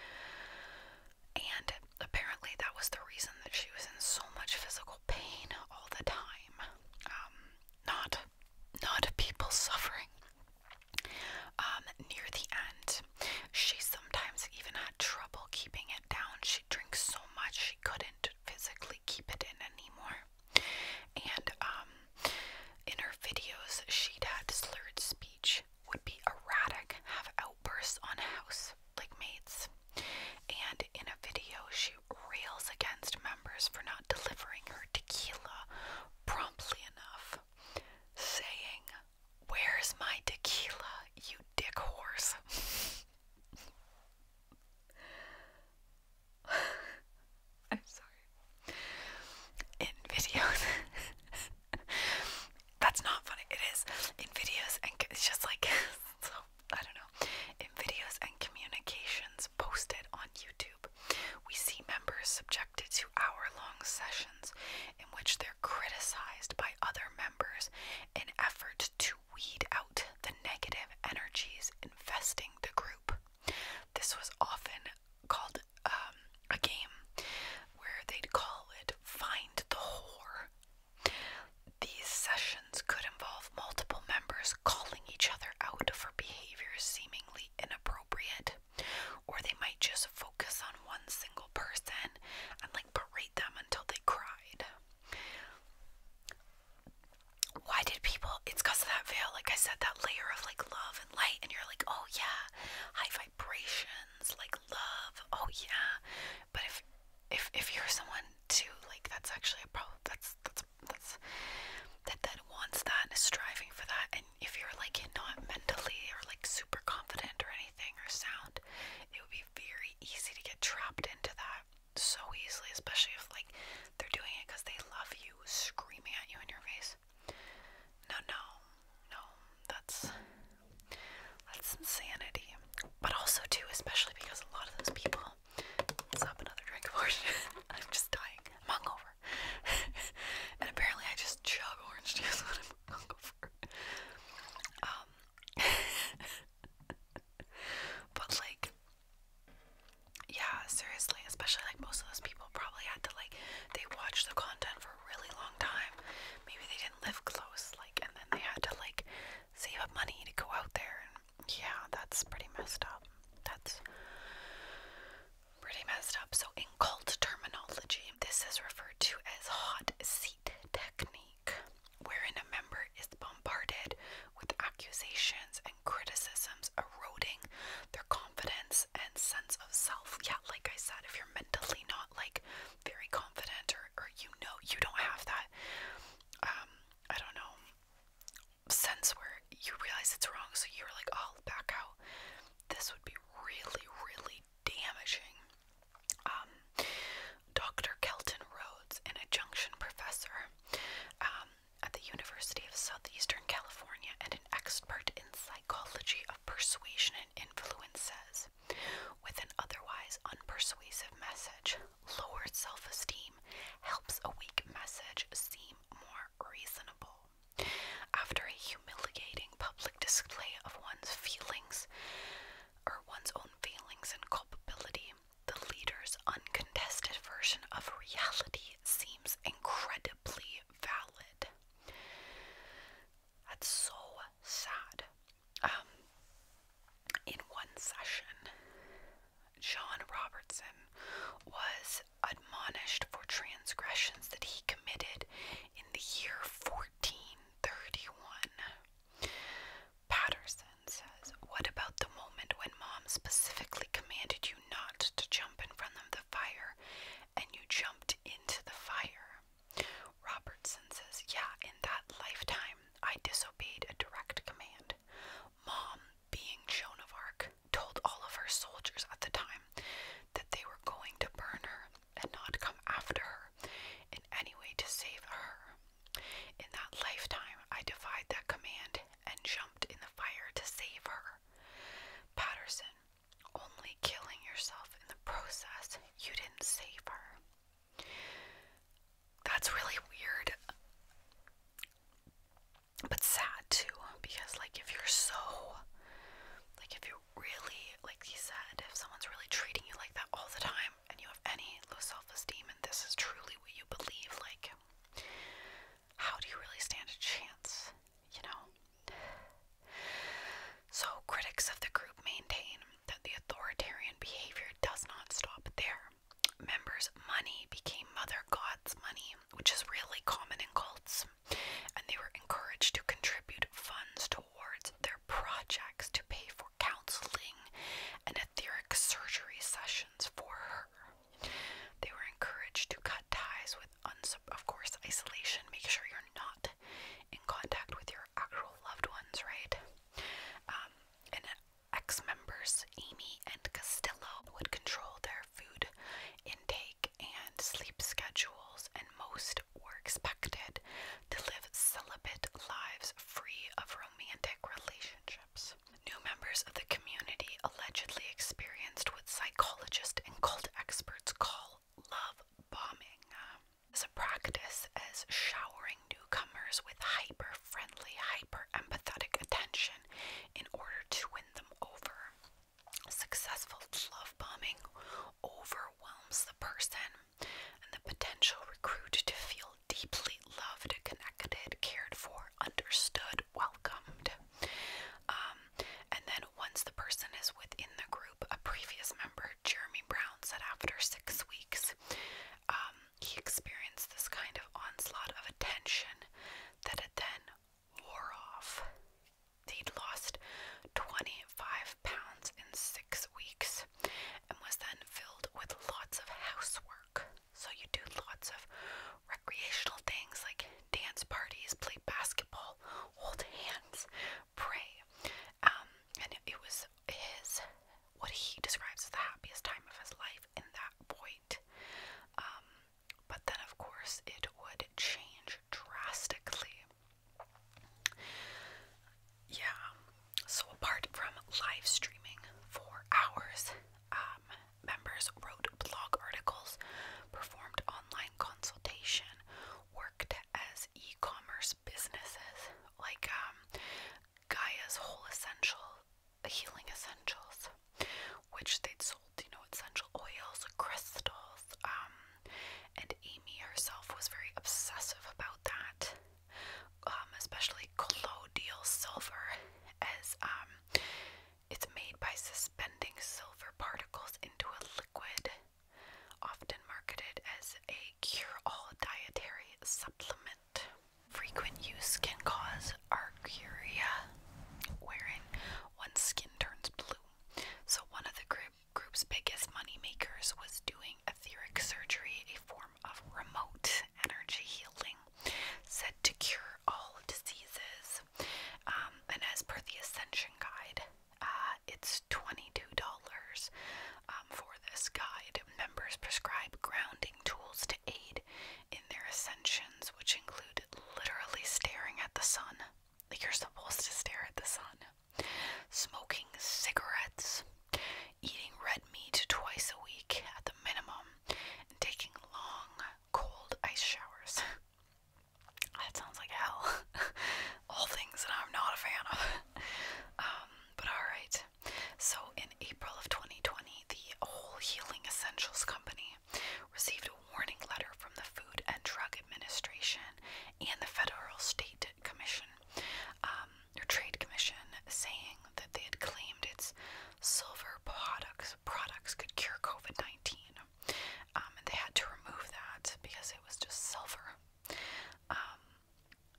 [SIGHS] and apparently, that was the reason that she was in so much physical pain all the time. Um, not, not people suffering. Um, near the end, she sometimes even had trouble keeping it down. She drinks so much she couldn't physically keep it in anymore. And um, in her videos, she'd had slurred speech, would be erratic, have outbursts on house like mates. And in a video, she rails against members for not delivering her tequila promptly enough, saying, Where's my tequila, you dick horse? [LAUGHS] [LAUGHS] I'm sorry. In videos. [LAUGHS] That's not funny. It is. In videos and it's just like [LAUGHS] so I don't know. In videos and communications posted on YouTube, we see members subjected to hour-long sessions in which they're criticized by other members in effort to weed out the negative energies infesting the group. This was often called um, a game where they'd call it Find the Whore. These sessions could involve multiple members calling each other out for behavior seemingly inappropriate, or they might just focus on one single person and like berate them until they cried. Why did people? It's because of that veil, like I said, that layer of like love love and light, and you're like, oh yeah, high vibrations, like love, oh yeah. But if if if you're someone too, like that's actually a problem. That's that's that's that that wants that and is striving for that. And if you're like not mentally or like super confident or anything or sound, it would be very easy to get trapped into that so easily, especially if like they're doing it because they love you, screaming at you in your face. No, no, no, that's that's insanity. But also too, especially because a lot of those people stop another drink abortion. [LAUGHS] I'm just dying. hungover. [LAUGHS] and apparently I just chug orange juice when I'm hungover. Um [LAUGHS] but like yeah, seriously, especially like most of those people probably had to like they watched the content for a really long time. Maybe they didn't live close, like and then they had to like save up money to go out there and yeah, that's pretty messed up. That's pretty messed up. So in cult terminology, this is referred to as hot seat technique, wherein a member is bombarded with accusations criticisms eroding their confidence and sense of self. Yeah, like I said, if you're mentally not like very confident or, or you know you don't have that, um, I don't know, sense where you realize it's wrong, so you're like, oh, I'll back out. This would be really, really damaging. Um, Dr. Kelton Rhodes, an adjunction professor, um, at the University of Southeastern California and an expert in psychology of persuasion and influence says, with an otherwise unpersuasive message, lowered self esteem helps a weak message seem more reasonable. After a humiliating public display of one's feelings or one's own feelings and culpability, the leader's uncontested version of reality seems incredible valid. That's so sad. Um, in one session, John Robertson was admonished for transgressions that he committed in the year 1431. Patterson says, What about the moment when mom specifically commanded you not to jump in front of the fire and you jumped into the fire. Robertson says, Yeah, in that lifetime, I disobeyed a direct command. Mom, being Joan of Arc, told all of her soldiers at the time that they were going to burn her and not come after her in any way to save her. In that lifetime, I defied that command and jumped in the fire to save her. Patterson, only killing yourself in the process. You didn't save her. That's really weird. But sad too, because like if you're so like if you really like he said, if someone's really treating you like that all the time and you have any low self esteem and this is truly what you believe, like how do you really stand a chance, you know? So, critics of the group maintain that the authoritarian behavior does not stop there. Members' money became Mother God's money, which is really common in cults, and they were encouraged to contribute funds towards their projects to pay for counseling and etheric surgery sessions for her. They were encouraged to cut ties with, of course, isolation. Make sure you're not in contact with your actual loved ones, right? Um, and ex members, Amy and Castillo, would control their food intake and sleep schedules, and most were expected to live celibate lives free of romantic relationships. New members of the community allegedly experienced what psychologists and cult experts call love bombing. As a practice as showering newcomers with hyper friendly, hyper empathetic attention in order to win them over. Successful love bombing overwhelms the person and the potential recruit to feel deeply loved, connected, cared for, understood, welcomed. Um, and then once the person is within the group, a previous member, Jeremy Brown, said after six weeks, um, he experienced this kind of onslaught of attention that it then wore off. He'd lost 25 pounds in six weeks and was then filled with lots of housework. So, you do lots of recreational things like dance parties, play basketball, hold hands, pray. Um, and it, was his, what he describes as the happiest time of his life in that point. Um, but then, of course, it would change drastically. Yeah, so apart from live streaming for hours, um, members wrote blog articles, performed on online consultation worked as e-commerce businesses like um, Gaia's Whole Essential Healing Essentials, which they'd sold, you know, essential oils, crystals, um, and Amy herself was very obsessive about that, um, especially collodial silver as um, it's made by suspending silver particles into a liquid, often marketed as a cure all dietary supplement. Frequent use can cause argyria, wherein one's skin turns blue. So, one of the group's biggest money was doing etheric surgery, a form of remote energy healing said to cure all diseases. Um, and as per the Ascension Guide, uh, it's twenty-two dollars um, for this guide. Members prescribe grounding tools to aid in their ascensions, which include literally staring at the sun. Like you're supposed to stare at the sun. Smoking cigarettes, eating red meat twice a week at the minimum, and taking long, cold ice showers. [LAUGHS] That sounds like hell. [LAUGHS] All things that I'm not a fan of. [LAUGHS] Um, but alright. So, in April of 2020, the Whole Healing Essentials Company received a warning letter from the Food and Drug Administration and the Federal State Commission, um, or Trade Commission, saying that they had claimed its silver products products could cure COVID-19 um, and they had to remove that because it was just silver. Um,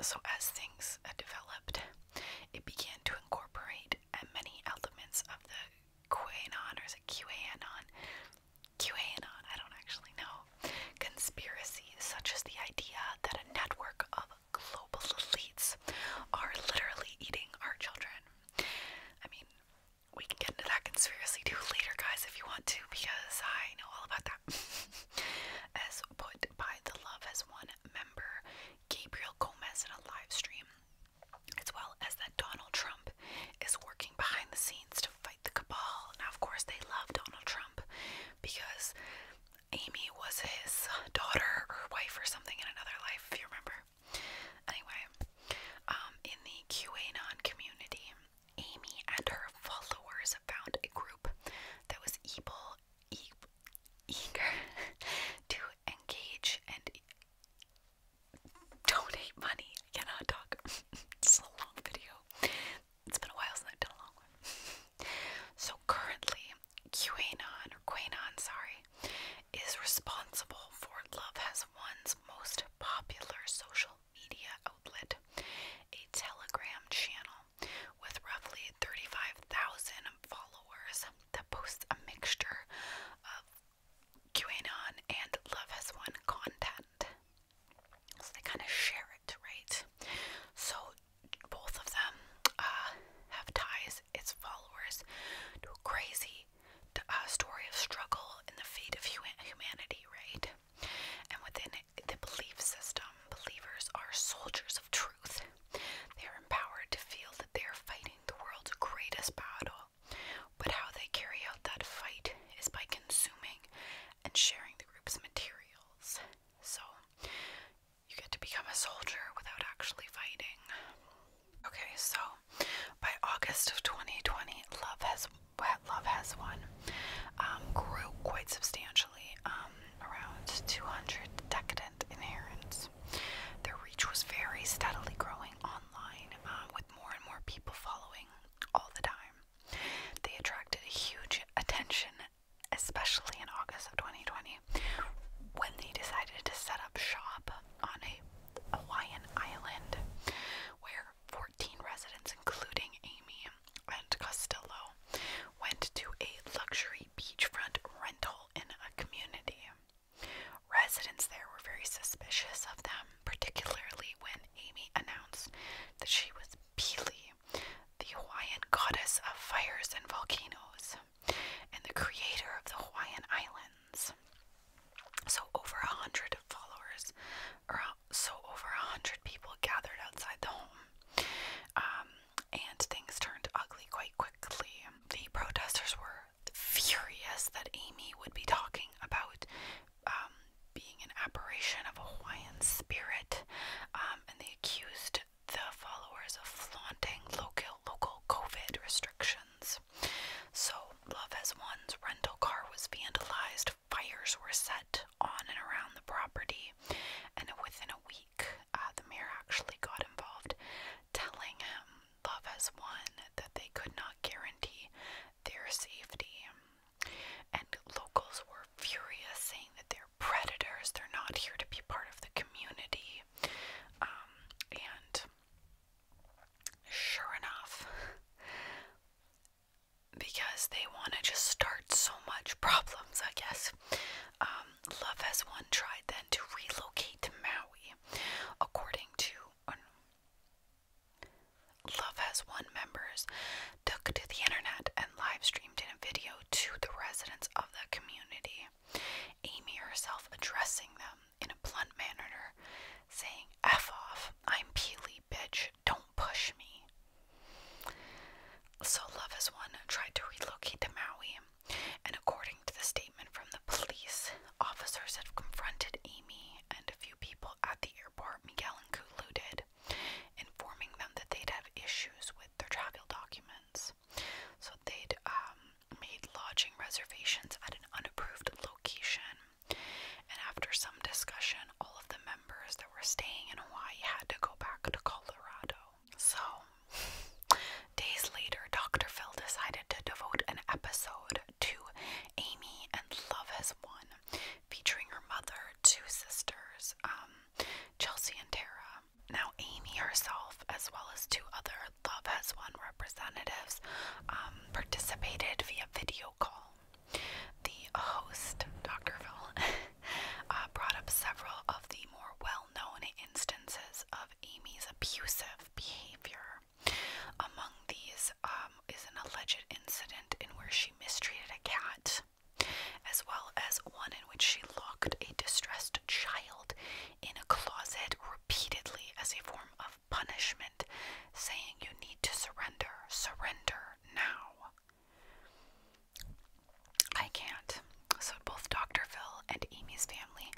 so, as things uh, developed, it began to incorporate uh, many elements of the QAnon, or is it QAnon? QAnon, I don't actually know. Conspiracy, such as the idea that a network of global elites are literally eating our children. I mean, we can get into that conspiracy too later, guys, if you want to, because I know all about that. [LAUGHS] As put by The Love as One member Gabriel Gomez in a live stream, as well as that Donald Trump is working behind the scenes to fight the cabal. Now, of course, they love Donald Trump because Amy was his daughter or wife or something in another life, if you remember. Anyway, um, in the QAnon community, Amy and her followers found a group that was able, eager [LAUGHS] to engage and donate money. I cannot talk. [LAUGHS] It's a long video. It's been a while since I've done a long one. [LAUGHS] so currently, QAnon or QAnon, sorry, is responsible for Love Has one's most popular social media outlet, a Telegram channel with roughly 35,000 followers that posts a mixture of QAnon and Love Has Won content. So they kind of share it, right? So both of them uh, have ties, its followers, to crazy uh, story of struggle in the fate of humanity, right? And within the belief system, believers are soldiers of truth. They are empowered to feel that they are fighting the world's greatest battle. But how they carry out that fight is by consuming and sharing the group's materials. So, you get to become a soldier without actually fighting. Okay, so by August of 2020, Love Has Love Has One um, grew quite substantially, um, around 200 decadent adherents. Their reach was very steadily growing online, uh, with more and more people following all the time. They attracted a huge attention, especially in August of 2020, when they decided to set up shop on a Hawaiian island where 14 residents, including Amy and Costello, went to a luxury beachfront rental in a community. Residents there were very suspicious of them, particularly when Amy announced that she was Pele, the Hawaiian goddess of fires and volcanoes, and the creator of the Hawaiian Islands. So over a hundred followers, or so over a hundred people gathered outside the home, um, and things turned ugly quite quickly. The protesters were furious that Amy would be talking about um, being an apparition of a Hawaiian spirit, um, and they accused the followers of flaunting local local COVID restrictions. So Love Has One's rental car was vandalized, fires were set on and around the property, and within a week, uh, the mayor actually got involved, telling him Love Has One that they could not guarantee their safety. And locals were furious, saying that they're predators, they're not here to be part of the community. Um, and Sure enough, because they want to just start so much problems, I guess. Um, Love has one tried then to relocate to Maui, according to. Uh, Love has one members took to the internet and live streamed in a video to the residents of the community. Amy herself addressing them in a blunt manner, saying, F off, I'm Peely, bitch, don't push me. So Love is One tried to relocate to Maui, and according to the statement from the police, officers have confronted Amy and a few people at the airport Miguel and Kulu did, informing them that they'd have issues with their travel documents. So they'd um, made lodging reservations at an unapproved location and after some discussion, all of the members that were staying in Hawaii had to go back to Colorado. So, [LAUGHS] days later, Dr. Phil decided to devote an episode to Amy and Love Has Won, featuring her mother, two sisters, um, Chelsea and Tara. Now, Amy herself, as well as two other Love Has Won representatives, um, participated via video call. The host, Dr. Phil, [LAUGHS] uh, brought up several of the more well known instances of Amy's abusive behavior. Among these um, is an alleged incident in where she mistreated a cat, as well as one in which she locked a distressed child in a closet repeatedly as a form of punishment, saying you need to surrender, surrender now. I can't. So, both Dr. Phil and Amy's family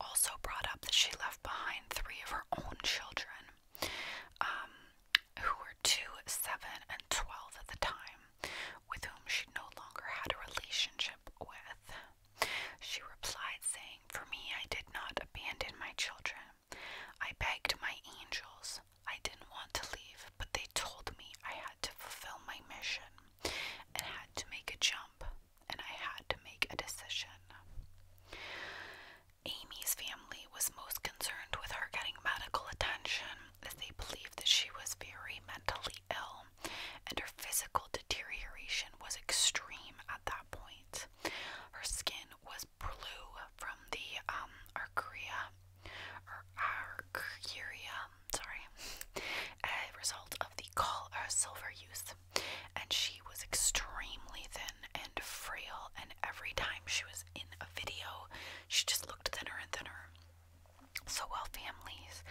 also brought up that she left behind three of her own children, um, who were two, seven, and twelve at the time, with whom she no longer had a relationship with. She replied, saying, For me, I did not abandon my children. I begged my angels. I didn't want to leave, but they told me I had to fulfill my mission and had to make a jump and I had to make a decision. Amy's family was most concerned with her getting medical attention as they believed that she was very mentally ill and her physical deterioration was extreme at that point. Her skin was blue from the um arcaria or sorry, [LAUGHS] a result of the call or uh, silver use. And she was extremely thin and frail, and every time she was in a video, she just looked thinner and thinner. So while families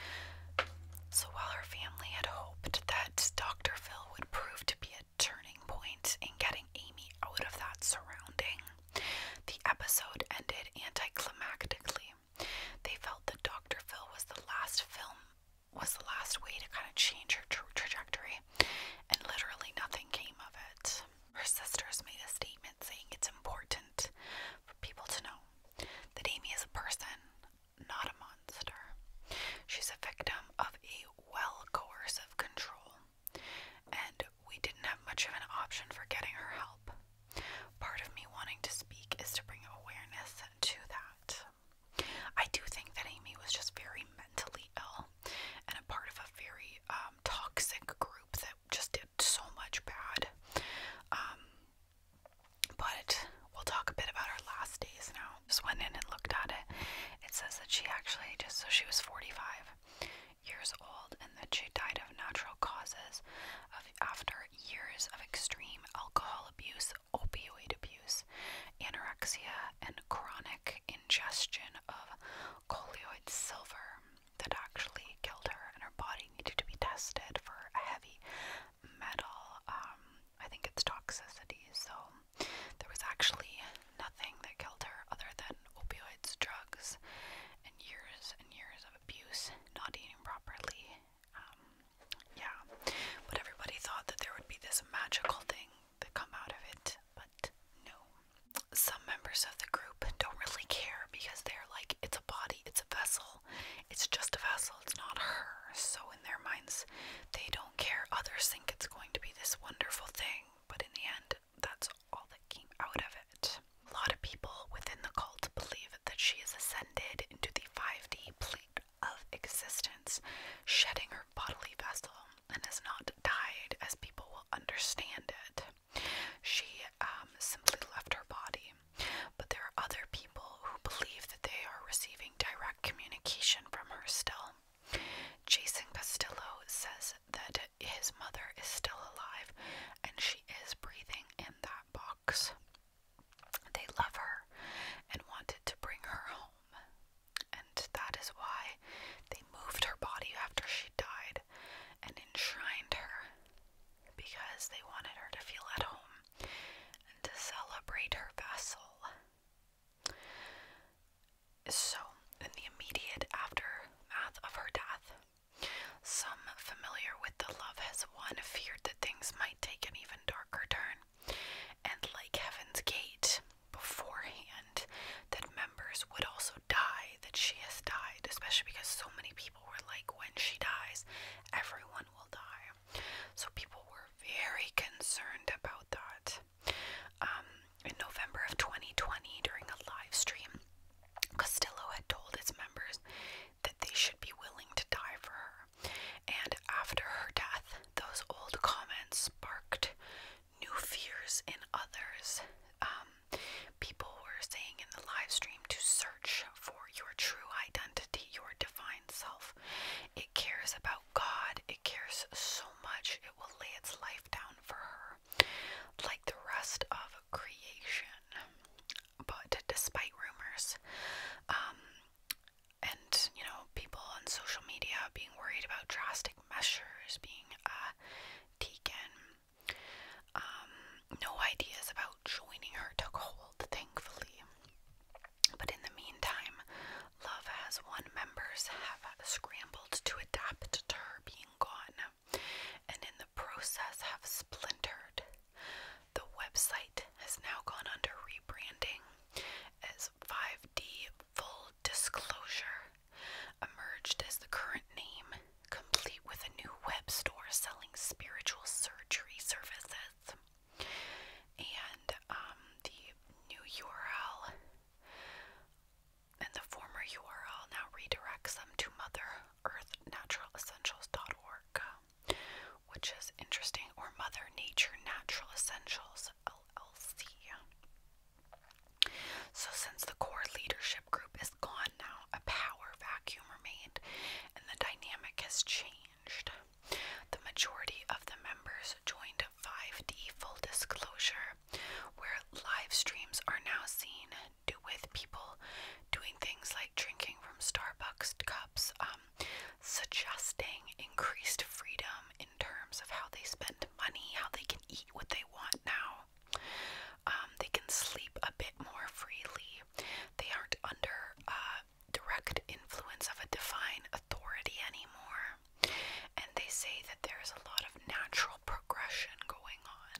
so while her family had hoped that Dr. Phil would prove to be a turning point in getting Amy out of that surrounding. The episode ended anticlimactically. They felt that Dr. Phil was the last film, was the last way to kind of change her trajectory, and literally nothing came of it. Her sisters made a statement saying it's important for people to know that Amy is a person, not a monster. She's a victim of a well coercive control and we didn't have much of an option for getting her help. Part of me wanting to speak is to bring awareness to that. I do think that Amy was just very mentally ill and a part of a very um, toxic group that just did so much bad. Um, but we'll talk a bit about our last days now just went in and looked at it. It says that she actually just so she was 45 years old and that she died of natural causes of after years of extreme alcohol abuse, opioid abuse, anorexia, and chronic ingestion of colloid silver that actually killed her, and her body needed to be tested for a heavy metal. Um, I think it's toxicity, so there was actually nothing that killed her other than opioids, drugs, and years and years of abuse, not eating properly. Um, yeah, but everybody thought that there would be this magical thing that come out of it, but no. Some members of the group don't really care because they're like, it's a body, it's a vessel, it's just a vessel, it's not her. So in their minds, they don't care. Others think it's going to be this wonderful thing, but in the end, that's all that came out of it. A lot of people within the cult believe that she has ascended into the 5D plane of existence, shedding her bodily vessel, and has not died as people will understand it. She um, simply left her body. But there are other people who believe that they are receiving direct communication from her still. Jason Castillo says that his mother is still alive and she is breathing in that box. They love her and wanted to bring her home, and that is why they moved her body after she died and enshrined her because they wanted her to feel at home and to celebrate her vessel. So, in the immediate aftermath of her death, some familiar with the Love Has one feared that things might take an even darker turn, and like Heaven's Gate beforehand, that members would also die, that she has died, especially because so many people were like, when she dies, everyone will die. So people were very concerned about that. Um, in November of 2020 during a live stream. Castillo had told his members that they should be willing to die for her, and after her death, those old comments sparked new fears in others. Um, people were saying in the live stream to search for your true identity, your divine self. It cares about God, it cares so much it will lay its life down for her, like the rest of creation. But despite rumors, um, and you know, people on social media being worried about drastic measures being uh, taken, um, no ideas about joining her took hold, thankfully. But in the meantime, Love Has One members have scrambled to adapt to her being gone, and in the process have splintered. The website has now gone under rebranding as 5D Full Disclosure, emerged as the current name, complete with a new web store selling spiritual surgery services. And um, the new URL and the former URL now redirects them to Mother Earth Natural Essentials.org, which is interesting, or Mother Nature Natural Essentials LLC. So, since the core leadership group is gone now, a power vacuum remained and the dynamic has changed. The majority of the members joined 5D Full Disclosure, where live streams are now seen do with people doing things like drinking from Starbucks cups, um, suggesting increased freedom in terms of how they spend money, how they can eat what they want now. Um, they can sleep a bit more freely. They aren't under uh, direct influence of a divine authority anymore. And they say that there is a lot of natural progression going on.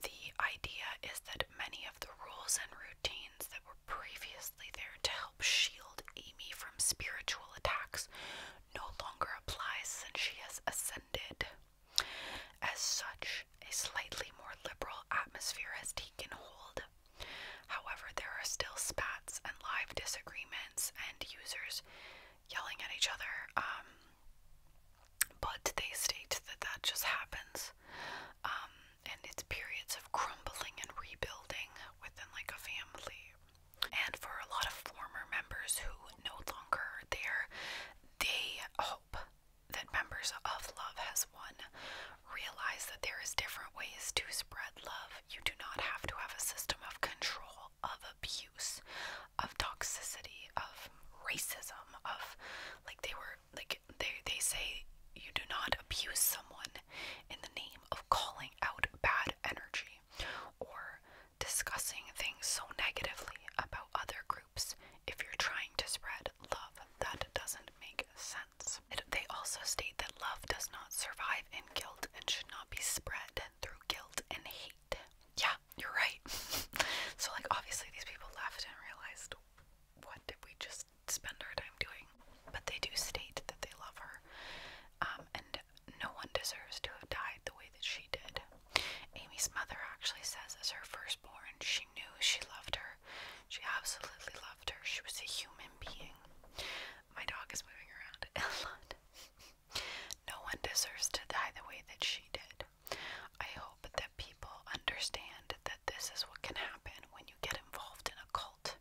The idea is that many of the rules and routines that were previously there to help shield Amy from spiritual attacks no longer apply since she has ascended. As such, a slightly more liberal atmosphere has taken hold. However, there are still spats and live disagreements, and users yelling at each other. Um, but they state that that just happens. Um, and it's periods of crumbling and rebuilding within like a family. And for a lot of former members who no longer are there, they hope that members of Love Has Won realize that there is different ways to spread love. You do not have to have a system of control of abuse, of toxicity, of racism, of like they were like they they say you do not abuse someone in the name of calling out bad energy or discussing things so negatively about other groups if you're trying to spread love. That doesn't make sense. they also state that love does not survive in guilt and should not be spread through guilt and hate. Yeah, you're right. [LAUGHS] so, like, obviously, these people left and realized what did we just spend our time doing? But they do state that they love her, um, and no one deserves to have died the way that she did. Amy's mother actually says, as her firstborn, she knew she loved her. She absolutely loved her. She was a human being. My dog is moving around a lot. [LAUGHS] No one deserves to die the way that she did. I hope that people understand that this is what can happen when you get involved in a cult.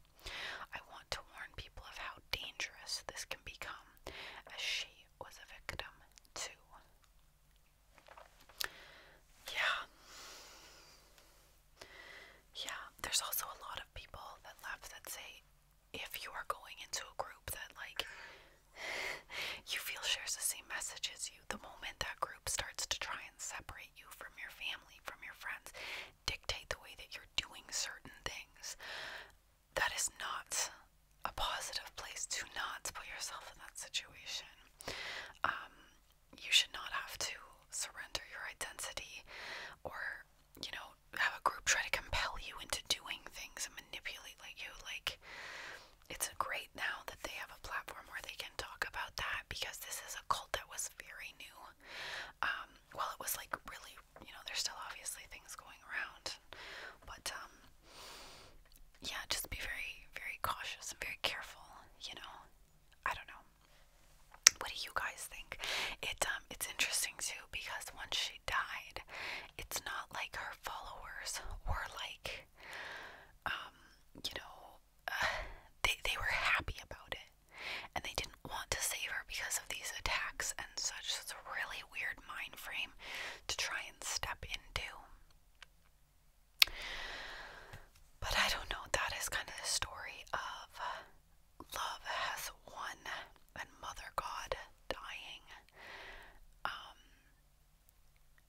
I want to warn people of how dangerous this can become, as she was a victim too. Yeah. Yeah, there's also a lot of people that left that say if you are going into a group that like you feel shares the same message as you, the moment that group starts to try and separate you from your family, from your friends, dictate the way that you're doing certain things, that is not a positive place to not put yourself in that situation. Um, you should not have to surrender your identity or you know, have a group try to compel you into doing things and manipulate like you like it's great now that they have a platform where they can talk about that because this is a cult that was very new. Um, well it was like really you know, there's still obviously things going around. But um yeah, just be very, very cautious and very careful, you know. I don't know. What do you guys think? It um it's interesting too because once she died. It's not like her followers were like, um, you know, [SIGHS] they they were happy about it, and they didn't want to save her because of these attacks and such. it's a really weird mind frame to try and step into. But I don't know. That is kind of the story of love has won and Mother God dying. Um,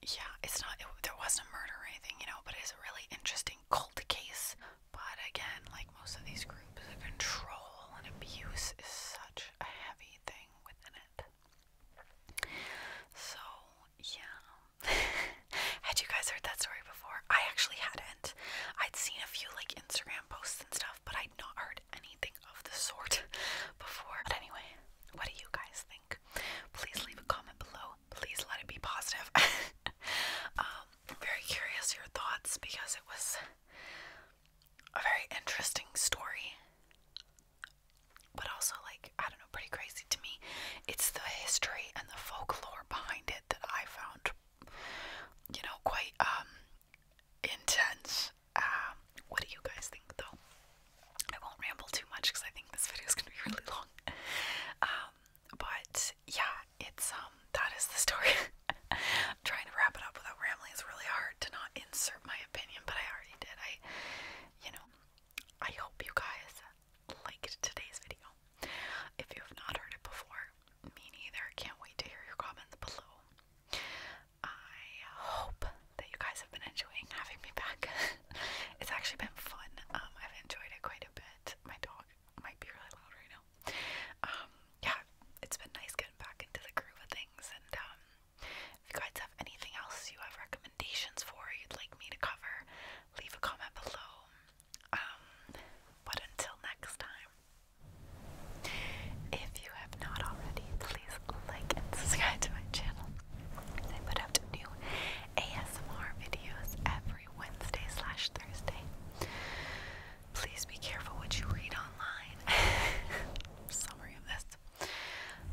yeah, it's not, it, there wasn't a murder or anything, you know, but it's a really interesting cult case. But again, like most of these groups, control and abuse is such a heavy thing within it. So, yeah. [LAUGHS] had you guys heard that story before? I actually hadn't. I'd seen a few like Instagram posts and stuff, but I'd not heard anything of the sort [LAUGHS] before. But anyway, what do you guys think? Please leave a comment below. Please let it be positive. [LAUGHS] um, very curious your thoughts because it was a very interesting story. But also, like, I don't know, pretty crazy to me. It's the history and the folklore behind it that I found, you know, quite um intense. Um, what do you guys think though? I won't ramble too much because I think this video is gonna be [LAUGHS] really long. Um, but yeah, it's um that is the story. [LAUGHS] trying to wrap it up without rambling. is really hard to not insert my opinion, but I already did. I you know, I hope you guys liked today's video. If you have not heard it before, me neither. Can't wait to hear your comments below. I hope that you guys have been enjoying having me back. [LAUGHS] it's actually been fun. Um, I've enjoyed it quite a bit. My dog might be really loud right now. Um, yeah, it's been nice getting back into the groove of things. And um, if you guys have anything else you have recommendations for, you'd like me to cover, leave a comment below. Um, but until next time. If you have not already, please like and subscribe to my channel. I put out new ASMR videos every Wednesday slash Thursday. Please be careful what you read online. [LAUGHS] Summary of this.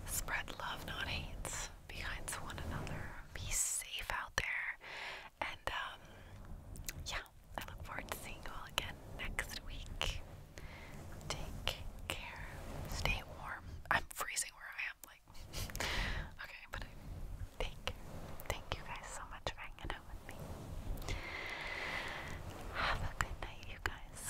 Spread love, not hate. Be kind to one another. Be safe out there. And um, yeah, I look forward to seeing you all again next week. Take care. Stay warm. I'm freezing where I am, like [LAUGHS] okay, but I thank thank you guys so much for hanging out with me. Have a good night, you guys.